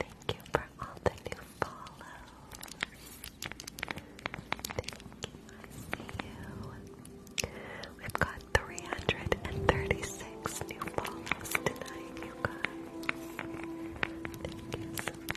Thank you for all the new follow. Thank you. We've got 336 new follows tonight, you guys. Thank you so much.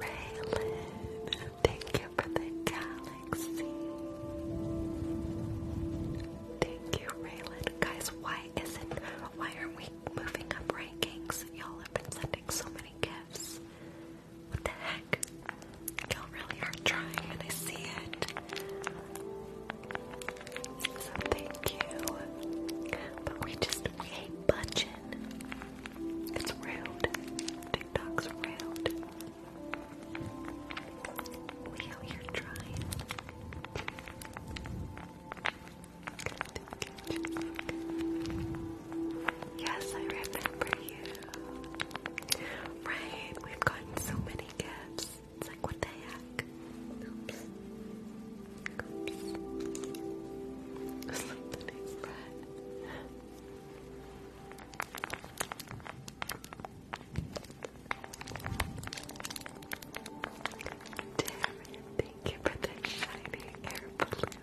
Raylan, Thank you for the galaxy. Thank you, Raylan. Guys, why isn't why are we moving up rankings? Y'all have been sending so many gifts. What the heck? Y'all really are trying and I see it. So thank you. But we just we hate budging. It's rude. TikTok's rude. We out here trying. Yes, I remember you. Right, we've gotten so many gifts. It's like, what the heck? Oops. Oops. Something is Darren, thank you for the shiny air balloon.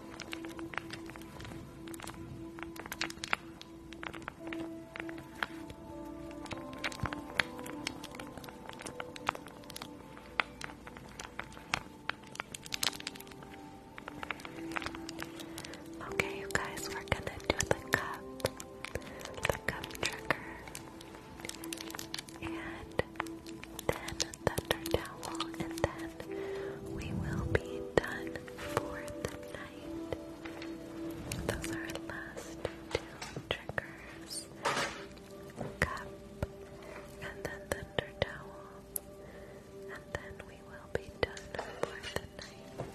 Okay, you guys, we're gonna do the cup, the cup trigger, and then thunder towel, and then we will be done for the night. Those are the last two triggers. Cup, and then thunder towel, and then we will be done for the night.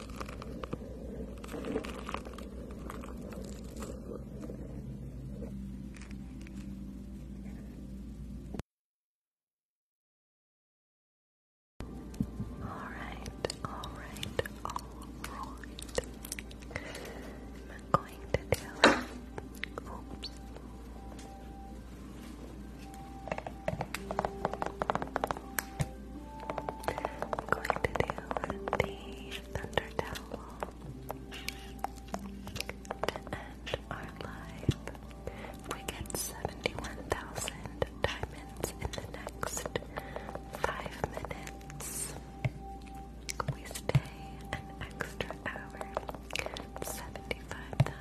Alright, alright, alright. I'm going to do oops going to the thunder towel to end our live. We get 71,000 diamonds in the next five minutes. We stay an extra hour. 75,000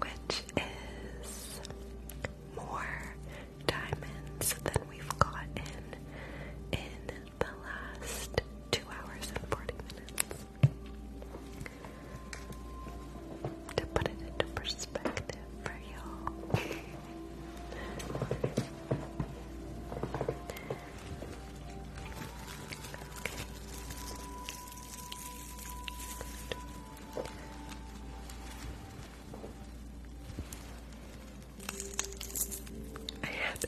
which is more diamonds than we've gotten in the last two hours and 40 minutes. To put it into perspective for y'all. I had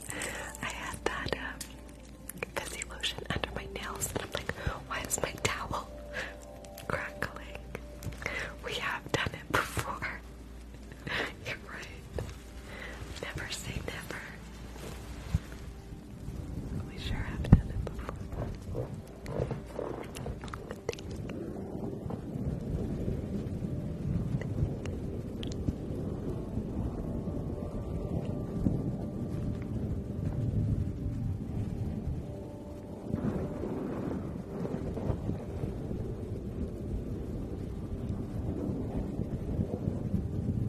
I had that um, lotion under my nails, and I'm like, why is my towel crackling? We have done it before. You're right. Never say never. We sure have done it before.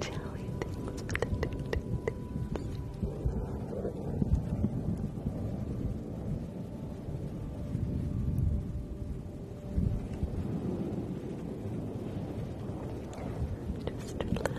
Jelly things for the doo -doo things. Just relax. Just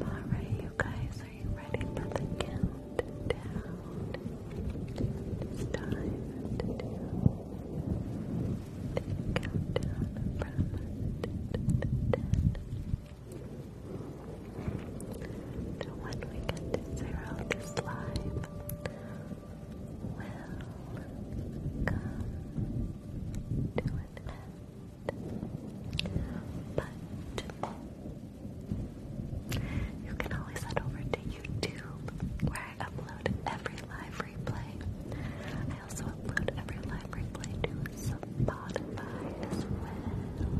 Alright, you guys, are you ready for the countdown? to do the countdown from 10. So when we get to zero, this live will come to an end. But you can always head over to YouTube where I upload every live replay. I also upload every live replay to Spotify as well.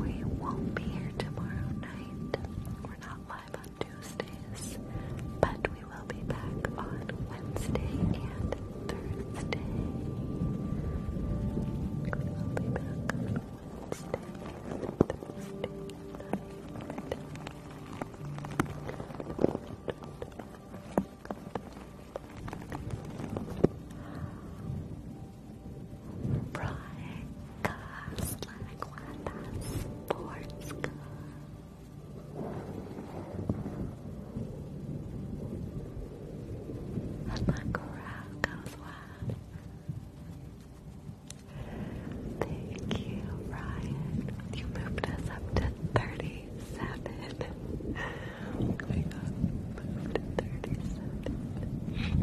We won't be here tomorrow night. We're not on Tuesdays, but we will be back on Wednesday and Thursday. We will be back on Wednesday and Thursday night. Brian Sports Club. And that crowd goes wild. Thank you, Ryan. You moved us up to 37. we got moved to 37.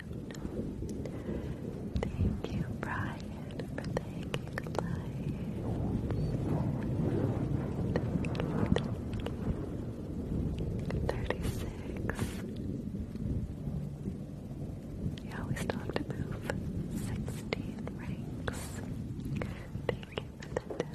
Thank you, Brian, for thanking lights. Thirty-six. Yeah, we still have move. Sixteen ranks. Thank you for the deck.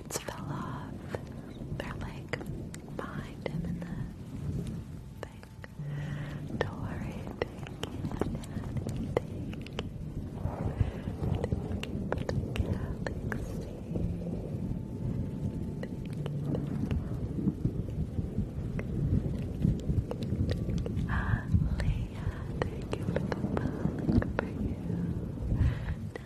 blades fell off. They're like behind him in the thing. Dory, thank you, Daddy, thank you. Thank you for the galaxy. Thank you. Ah, Leah, thank you for the public for you.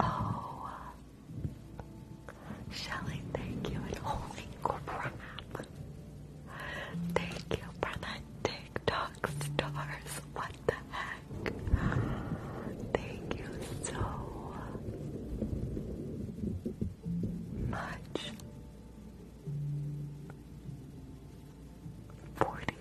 oh, Shelly, thank you, and holy crap. Thank you for the TikTok stars. What the heck? Thank you so much. 40,000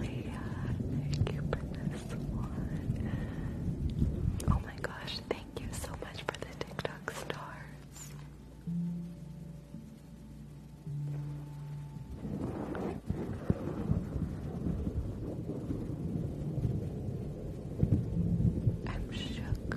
Leah, thank you for this one. Oh my God thank you so much for the TikTok stars. I'm shook.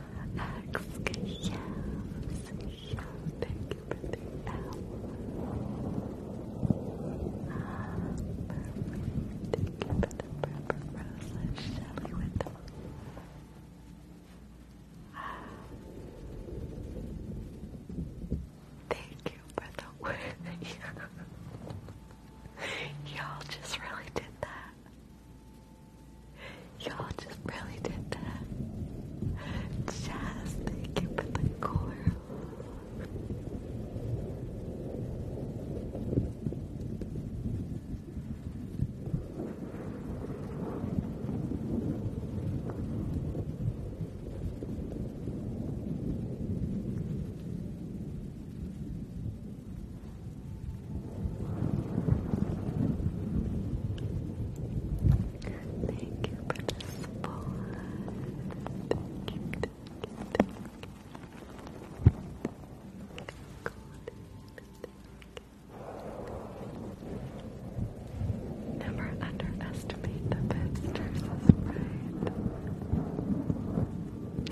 thank you for the hour. Thank you for the purple roses, Shelly with them. Thank you for the word. Y'all just really did that. Y'all just really did that. Jazz, thank you the coral. Thank you for the support. Thank you, thank you, thank you. God, Never underestimate the visitors, is right.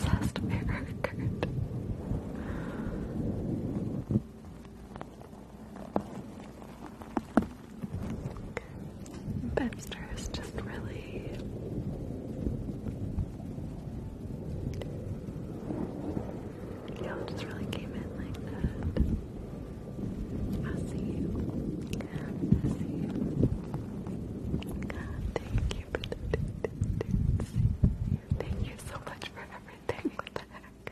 Last mirror, Kurt. Bebster is just really you just really came in like that. I see I see thank you for the Thank you so much for everything. What the heck?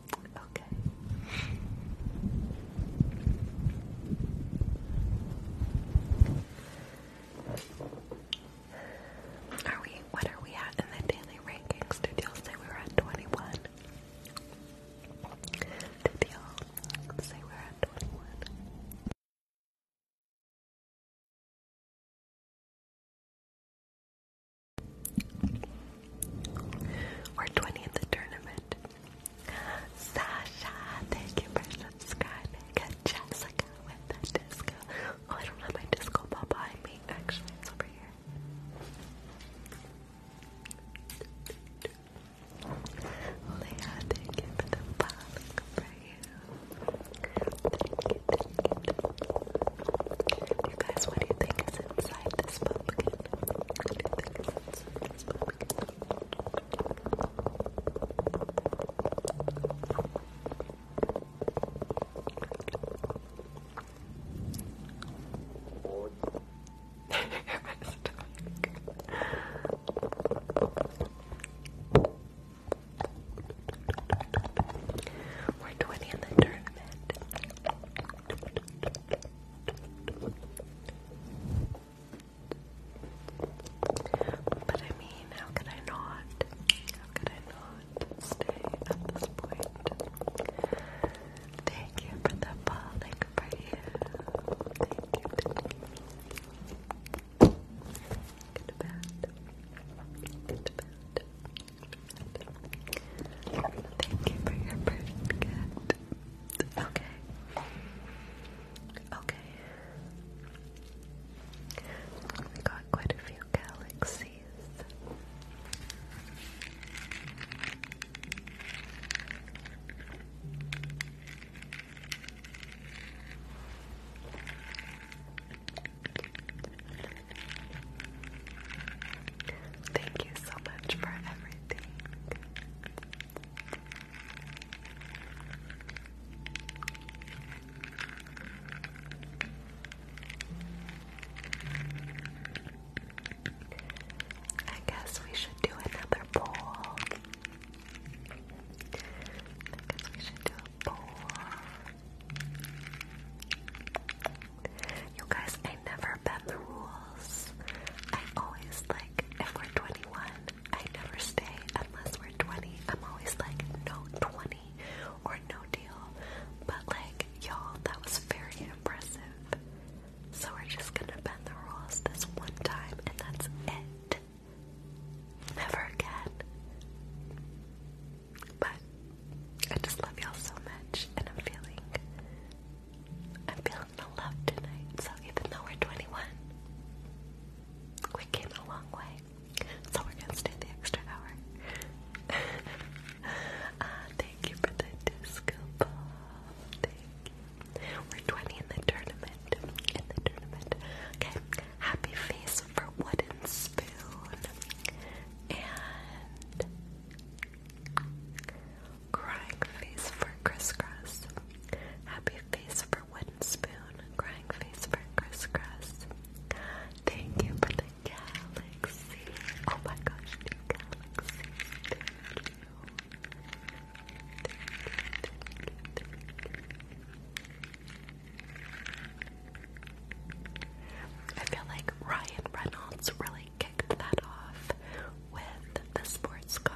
Okay. Are we? What are we at in the daily rankings? Did y'all say we were at twenty-one? Did y'all say we were at twenty-one? We're 20 at the tournament. Sasha, thank you for subscribing. Jessica with the disco. Oh, I don't have my disco ball behind me. Actually, it's over here. Leah, thank you for the follow for you. you, guys, what do you think is inside this pumpkin? We're 20 in the tournament. But I mean, how could I not? How could I not stay at this point? Thank you for the falling for you. Thank you. Thank to bed. Good to bed. Thank you for your first Okay. Okay. We got quite a few galaxies. Thank you so much for everything. I guess we should do another poll. I guess we should do a poll. You guys, I never bend the rules. I always like, if we're 21, I never stay unless we're 20. I'm always like, no 20 or no deal. But like, y'all, that was very impressive. So we're just gonna bend the rules this one time and that's it. Never again. But I just love y'all so much and I'm feeling I'm feeling the love tonight, so even though we're 21, we came a long way. So we're gonna stay the extra hour. Ah, thank you for the disco ball. Thank you. We're 20 in the tournament. In the tournament. Okay. Happy face for wooden spoon. And Crying face for crisscross. Happy face for wooden spoon. Crying face for crisscross. Thank you for the galaxy. Oh my gosh, the galaxy. I feel like Ryan Reynolds really kicked that off with the sports car.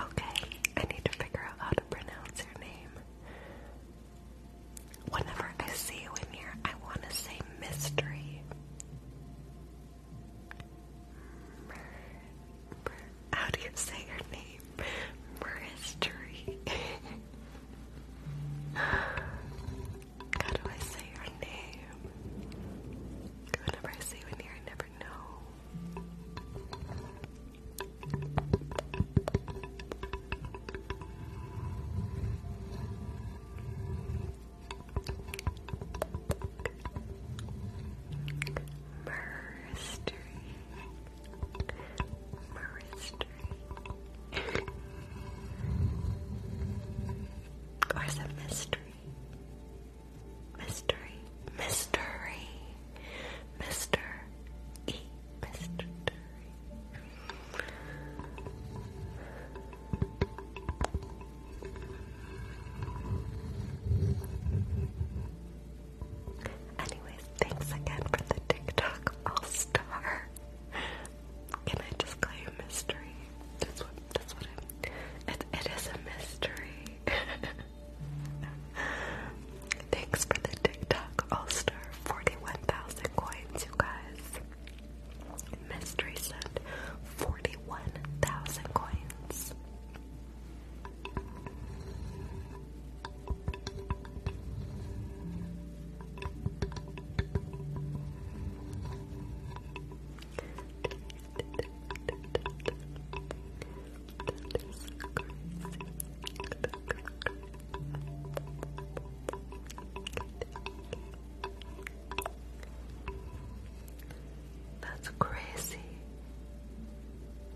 Okay, I need to figure out how to pronounce your name. Whenever I see you in here, I want to say mystery. How do you say your name? for history. How do I say your name? Whenever I say one here, I never know. Mystery, Mystery. or is it mystery? Mystery. Mystery. Mister Mystery. Anyways, thanks again for the TikTok All Star. Can I just call you mystery? That's what. That's it is a mystery. thanks for the TikTok All Star. Forty-one thousand coins, you guys. Mystery sent forty-one thousand coins. That's crazy.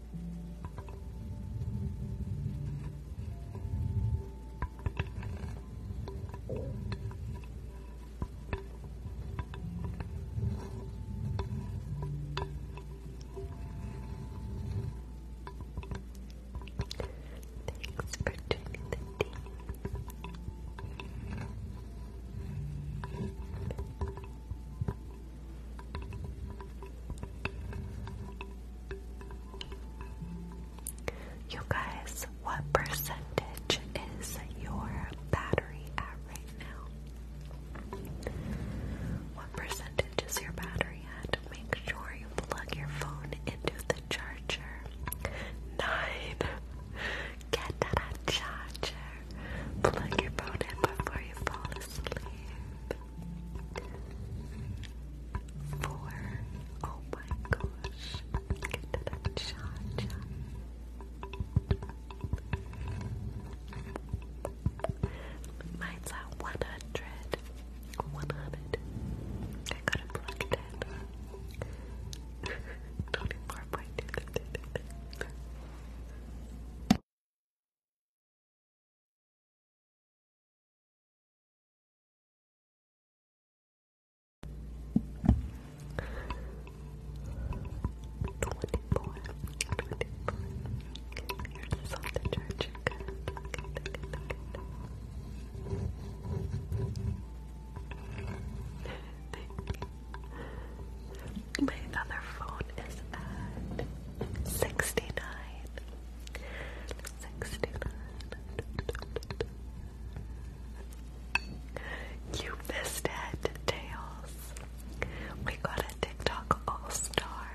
Thanks for tuning the you guys, what percentage is your battery at right now? What percentage is your battery at? Make sure you plug your phone into the charger. Nine. Get that charger. Plug your phone in before you fall asleep. Four. Oh my gosh. Get to that shot. Mine's at 100. 100. I got it plugged in. 24.2. Twenty-four. twenty-four. Here's all the My other phone is at sixty-nine. You missed it, Tails. We got a TikTok All Star.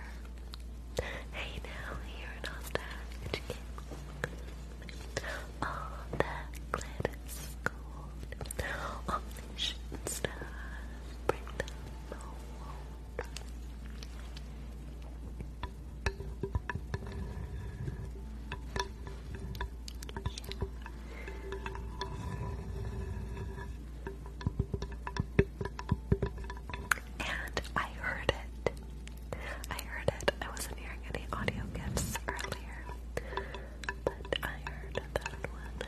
Hey now, here in Austin, Educate. All that glitters gold. All the shit stuff. Bring them home. And I heard it. I heard it. I wasn't hearing any audio gifts earlier, but I heard that one.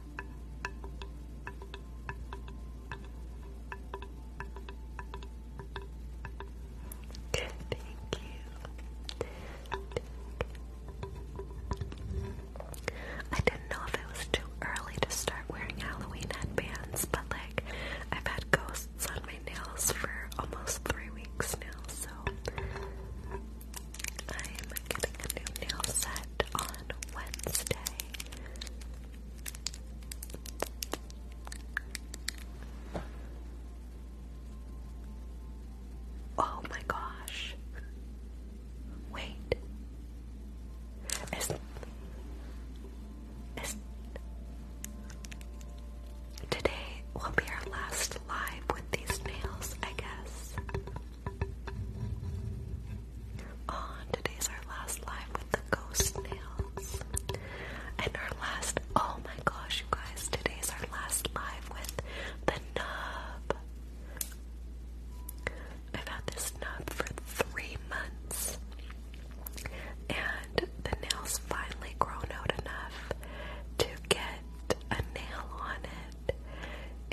Thank you. I didn't know if it was too early to start wearing Halloween headbands, but like I've had ghosts on my nails for almost three weeks now, so I'm getting a new nail set on Wednesday. Oh my gosh. Wait. today will be our last live with these nails, I guess. On oh, today's our last live the ghost nails. And our last, oh my gosh, you guys, today's our last live with the nub. I've had this nub for three months, and the nail's finally grown out enough to get a nail on it.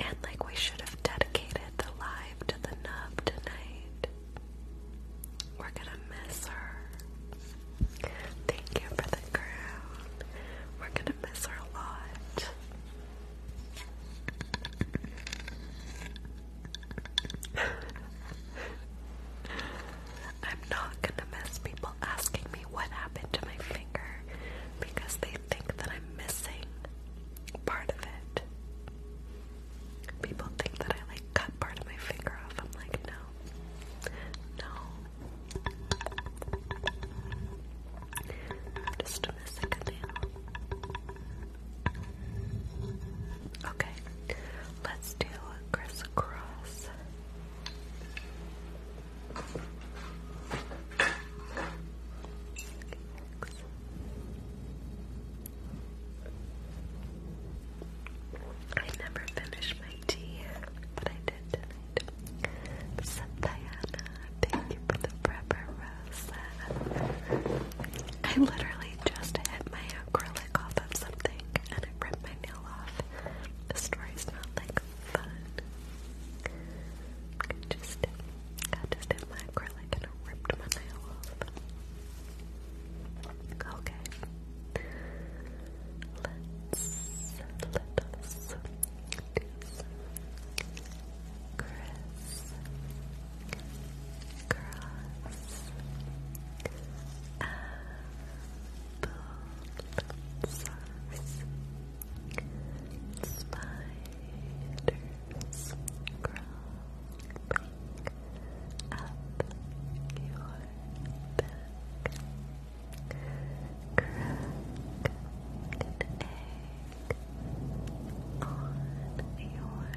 And like, we should have dedicated the live to the nub tonight. We're gonna miss her. Thank you for the crown. We're gonna miss her a lot. I'm not gonna miss people asking me what happened to my finger because they think that I'm missing part of it. People think that I like cut part of my finger off. I'm like, no. No. just missing a nail. Okay. Let's do crisscross. I never finished my tea, but I did tonight. Diana, thank you for the prepper rosa. I literally just hit my acrylic off of something and I ripped my nail off. The story's not like fun. I just, I my acrylic and ripped my nail off. Okay. Let's let us do some Chris Cross Apple Sauce Spiders Crawling up your back. Crack on your head. Let the yolk drip, drip,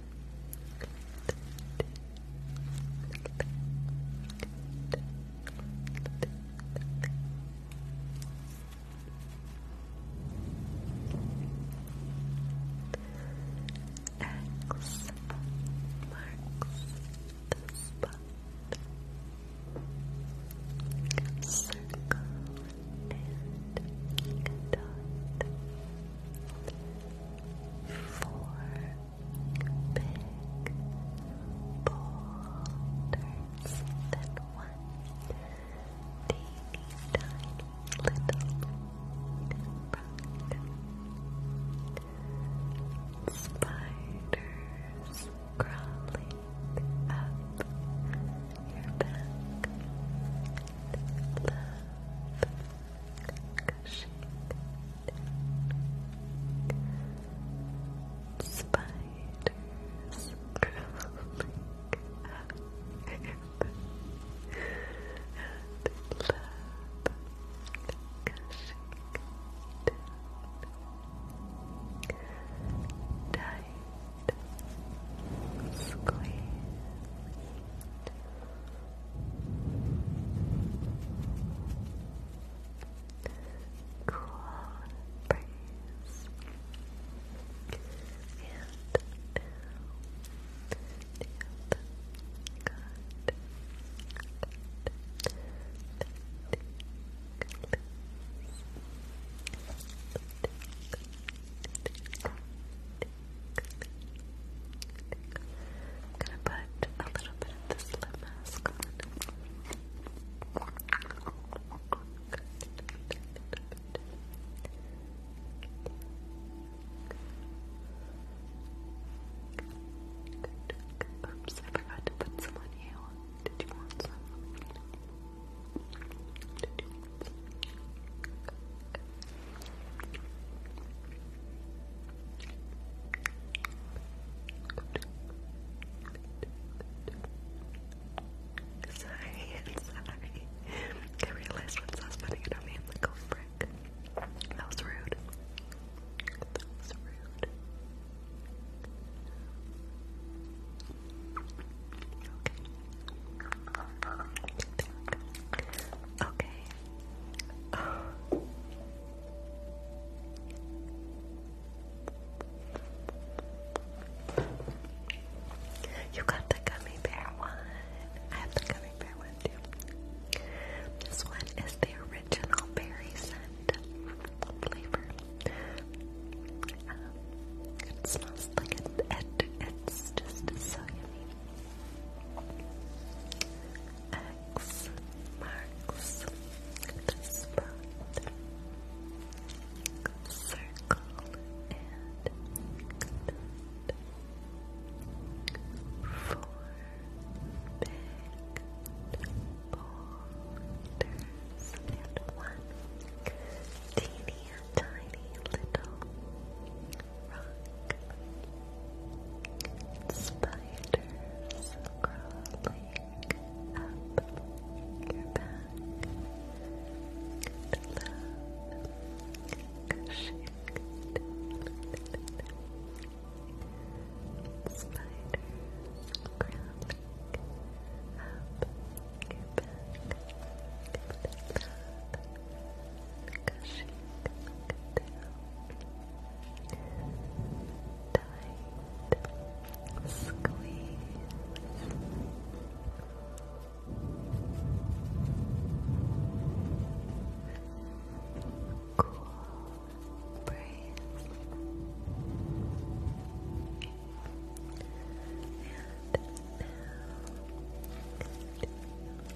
X marks the spot. Circle and dot four big boulders, then one tiny little rock. Spiders crawling up your back. Spiders crawling up and love gushing Tight squeeze. Cool breeze. And now, good. Good. I'm gonna put a little bit of this lip mask on. Oops, I forgot to put some on you. Did you want some? Sorry, sorry. I realized once I was putting it on me, I'm like, oh frick. That was rude. That was rude. Okay. You got the gummy bear one. I have the gummy bear one too. This one is the original berry scent flavor. Um, it smells like it. It's just so yummy. X marks the spot. Circle and Four big boulders and one teeny tiny little spiders crawling up your back, good love, cushion, spiders crawling up your back, good love gushing down, tight squeeze. Cool breeze and now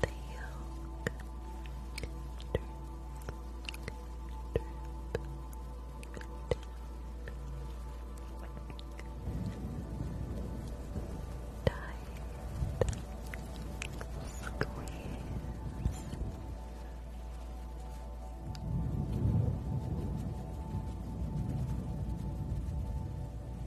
the yolk, drip, drip, drip. Tight, squeeze. Relax.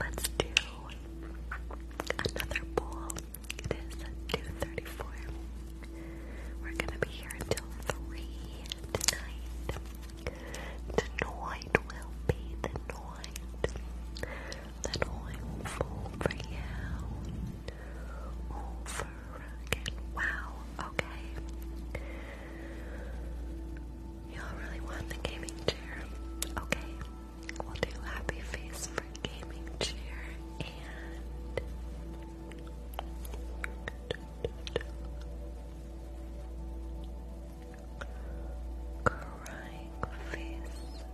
Let's do another bowl. It is 2.34. We're gonna be here until 3 tonight. Tonight will be the night that I will fall for you over again. Wow, okay. Y'all really want the gaming chair? Okay, we'll do happy face for gaming chair and. Crying face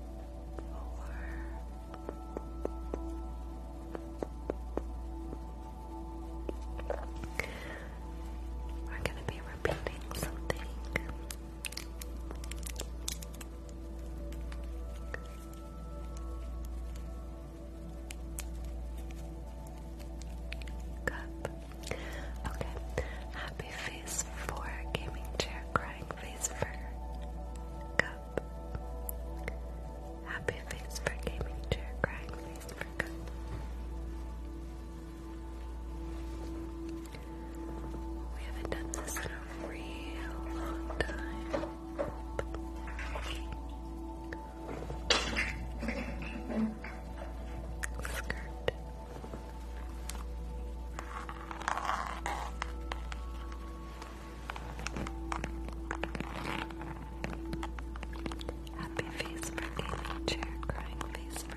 we're going to be repeating something. Cup. Okay. Happy face for gaming chair, crying face for cup. Happy face for gaming chair, crying face for cup. We haven't done this in a real long time. Skirt. Happy face for Amy, chair crying face for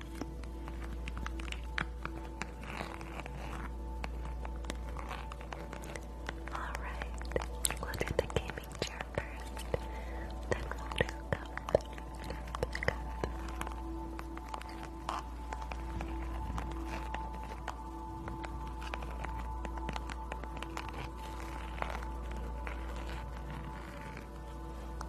Alright, we'll the gaming chair first, then we'll do Tonight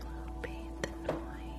will be the night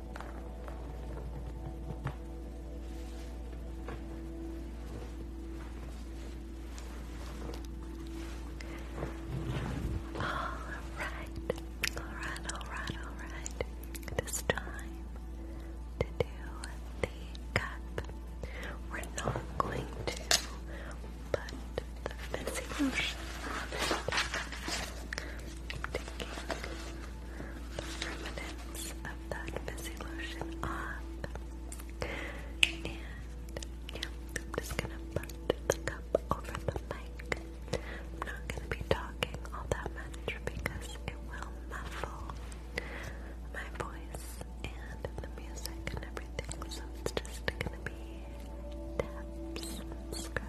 Alright, alright, alright, alright. It is time to do the cup. We're not going to put the fancy lotion on it the remnants of that busy lotion off. And I'm just gonna put the cup over the mic. I'm not gonna be talking all that much because it will muffle my voice and the music and everything. So just gonna be taps,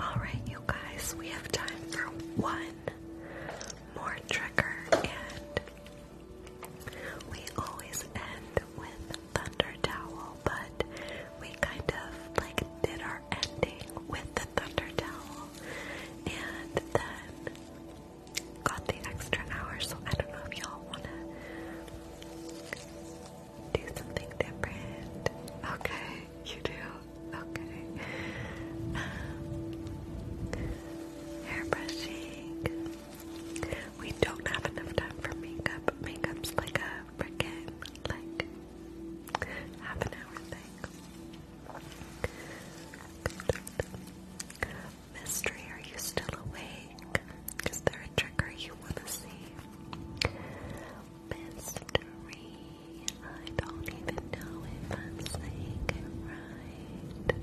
All right, you guys, we have time for one more trigger and we always end with Thunder Towel, but we kind of like did our ending with the Thunder Towel and then got the extra hour, so I don't know if y'all want to do something different. Okay, you do? Okay. Um, hair brushing. We don't have enough time for makeup. Makeup's like a freaking like half an hour thing. Mystery, are you still awake? Is there a trigger you want to see? Mystery, I don't even know if I'm saying it right.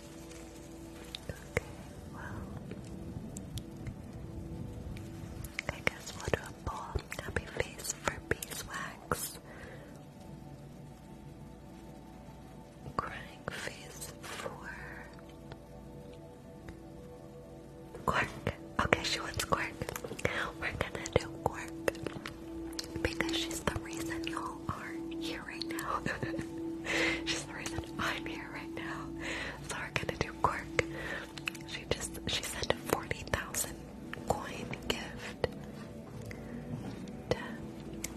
Okay, well, I guess we'll do a bowl. Happy face for beeswax. Crying face for Quark. Okay, she wants Quark. We're gonna do Quark because she's the reason y'all are here right now. she's the reason I'm here right now. So we're gonna do Quirk. She just, she sent a 40,000 coin gift.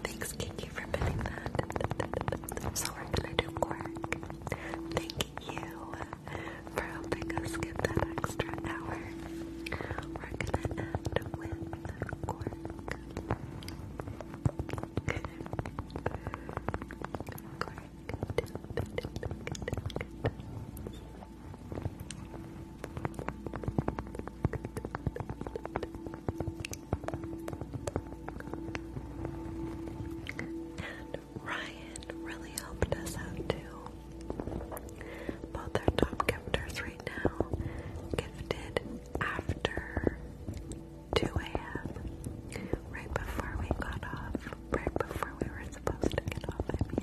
thanks Kiki for pinning that. So we're gonna do Quirk. Thank you for helping us get that extra hour. We're gonna end Quirk. And Ryan really helped us out too. Both our top gifters right now gifted after 2 a.m. Right before we got off. Right before we were supposed to get off, I mean.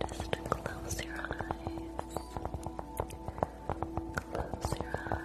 Just close your eyes. Close your eyes.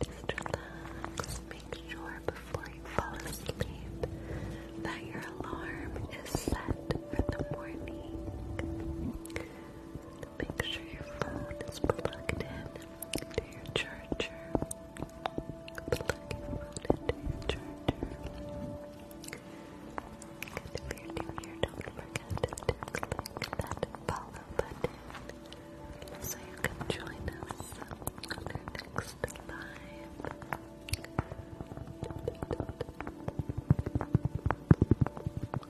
Just Make sure before you fall asleep that your alarm is set for the morning. Make sure your phone is plugged in to your charger. Plug your phone into charger. And if you're new here, don't forget to click that follow button so you can join us on next live.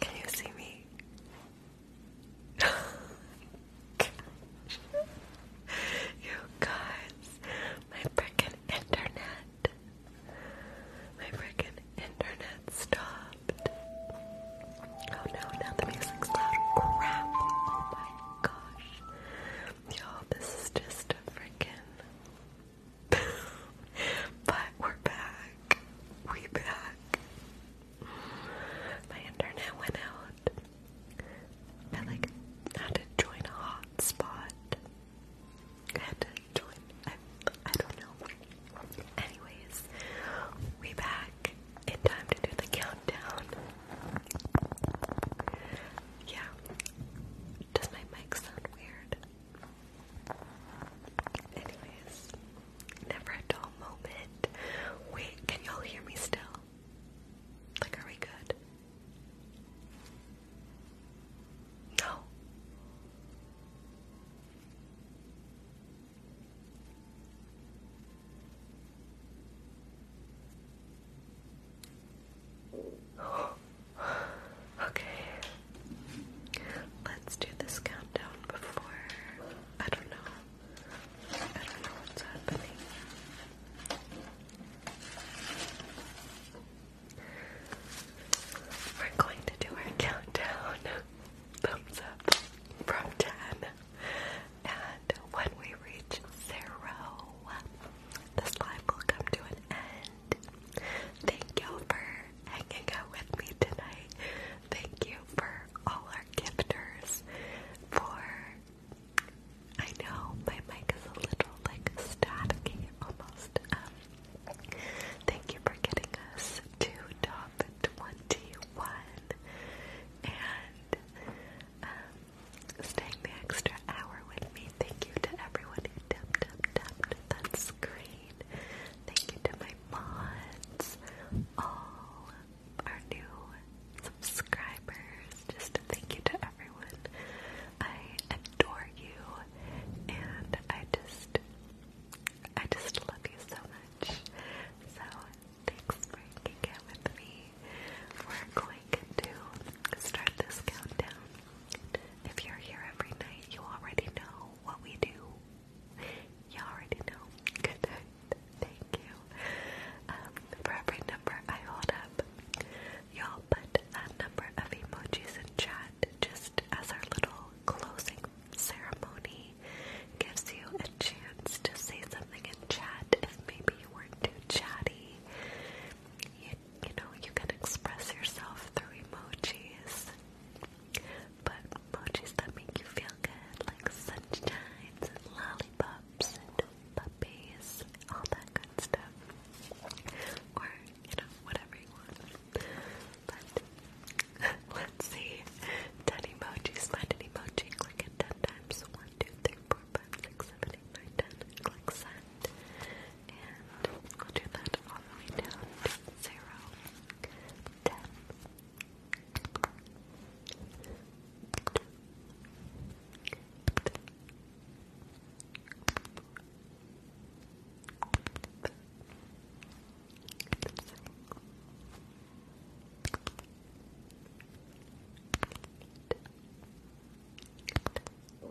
Can you see me? you guys, my freaking internet. My freaking internet stopped. Oh no, now the music's loud. Crap. Oh my gosh. Y'all, this is just a freaking. but we're back. We back. My internet went out. I like had to join a hotspot. had to join. I don't know. Anyways, we back in time to do the countdown. Yeah. Does my mic sound weird? Anyways, never a dull moment. Wait, can y'all hear me still? Like, are we good? No. Okay. Let's do this countdown before. I don't know. I don't know what's happening. We're going to do our countdown. Thumbs up from 10. And when we reach zero, this live will come to an Thank you for hanging out with me tonight. Thank you for all our gifters. For I know my mic is a little like staticky almost. Um, thank you for getting us to top twenty-one and um, staying the extra hour with me. Thank you to everyone who tapped, tapped, tapped that screen. Thank you to my mods, all our new subscribers. Just thank you to everyone. I adore you, and I just, I just love you so much. So thanks for hanging with me. We're going to start this countdown. If you're here every night, you already know what we do. You already know. Good night. Thank you. for um, every number I hold up, y'all put that number of emojis in chat just as our little closing ceremony gives you a chance to say something in chat if maybe you weren't too chatty. You, you know, you can express yourself through emojis. But emojis that make you feel good, like sunshines lollipops puppies, all that good stuff. Or, you know, whatever you want. But let's see. 10 emojis, find an emoji, click it 10 times. 1, Click send and we'll do that all the way down to zero, ten, Eleven,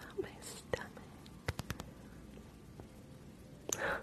Not my stomach. Four.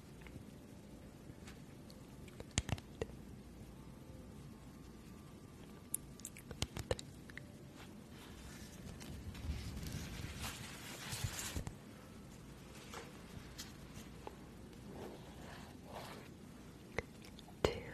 Two. Two.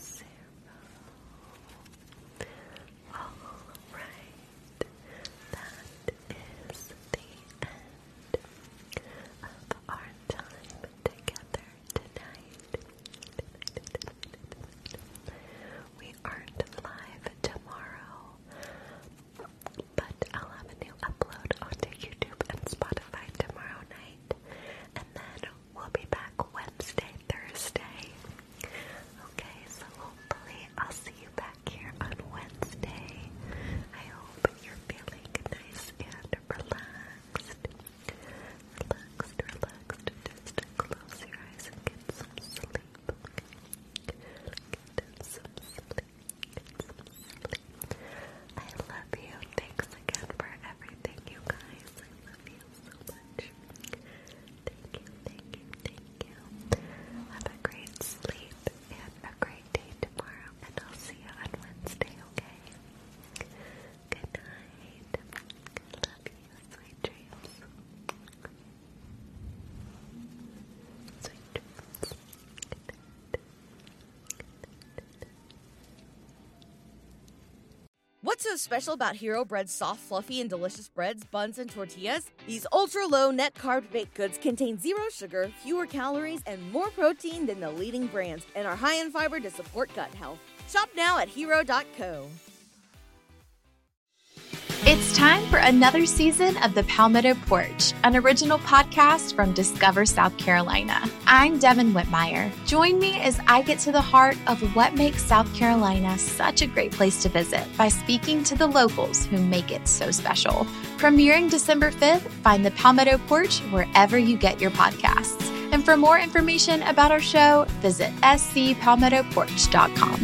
Zero. All right. That is the end of our time together tonight. We aren't live tomorrow, but I'll have a new upload onto YouTube and Spotify tomorrow night. And then we'll be back Wednesday, Thursday. Okay, so hopefully I'll see you back here on Wednesday. I hope you're feeling nice and relaxed. Relaxed, relaxed. Just close your eyes and get some sleep. Okay? Get some sleep. I love you. Thanks again for everything, you guys. I love you so much. Thank you, thank you, thank you. Have a great sleep and a great day tomorrow, and I'll see you on Wednesday, okay? Good night. Love you. Sweet dreams. Sweet dreams. What's so special about Hero Bread's soft, fluffy, and delicious breads, buns, and tortillas? These ultra low net carb baked goods contain zero sugar, fewer calories, and more protein than the leading brands, and are high in fiber to support gut health. Shop now at hero.co. It's time for another season of the Palmetto Porch an original podcast from Discover South Carolina. I'm Devin Whitmire. Join me as I get to the heart of what makes South Carolina such a great place to visit by speaking to the locals who make it so special. Premiering December 5th, find the Palmetto Porch wherever you get your podcasts. And for more information about our show, visit scpalmettoporch.com.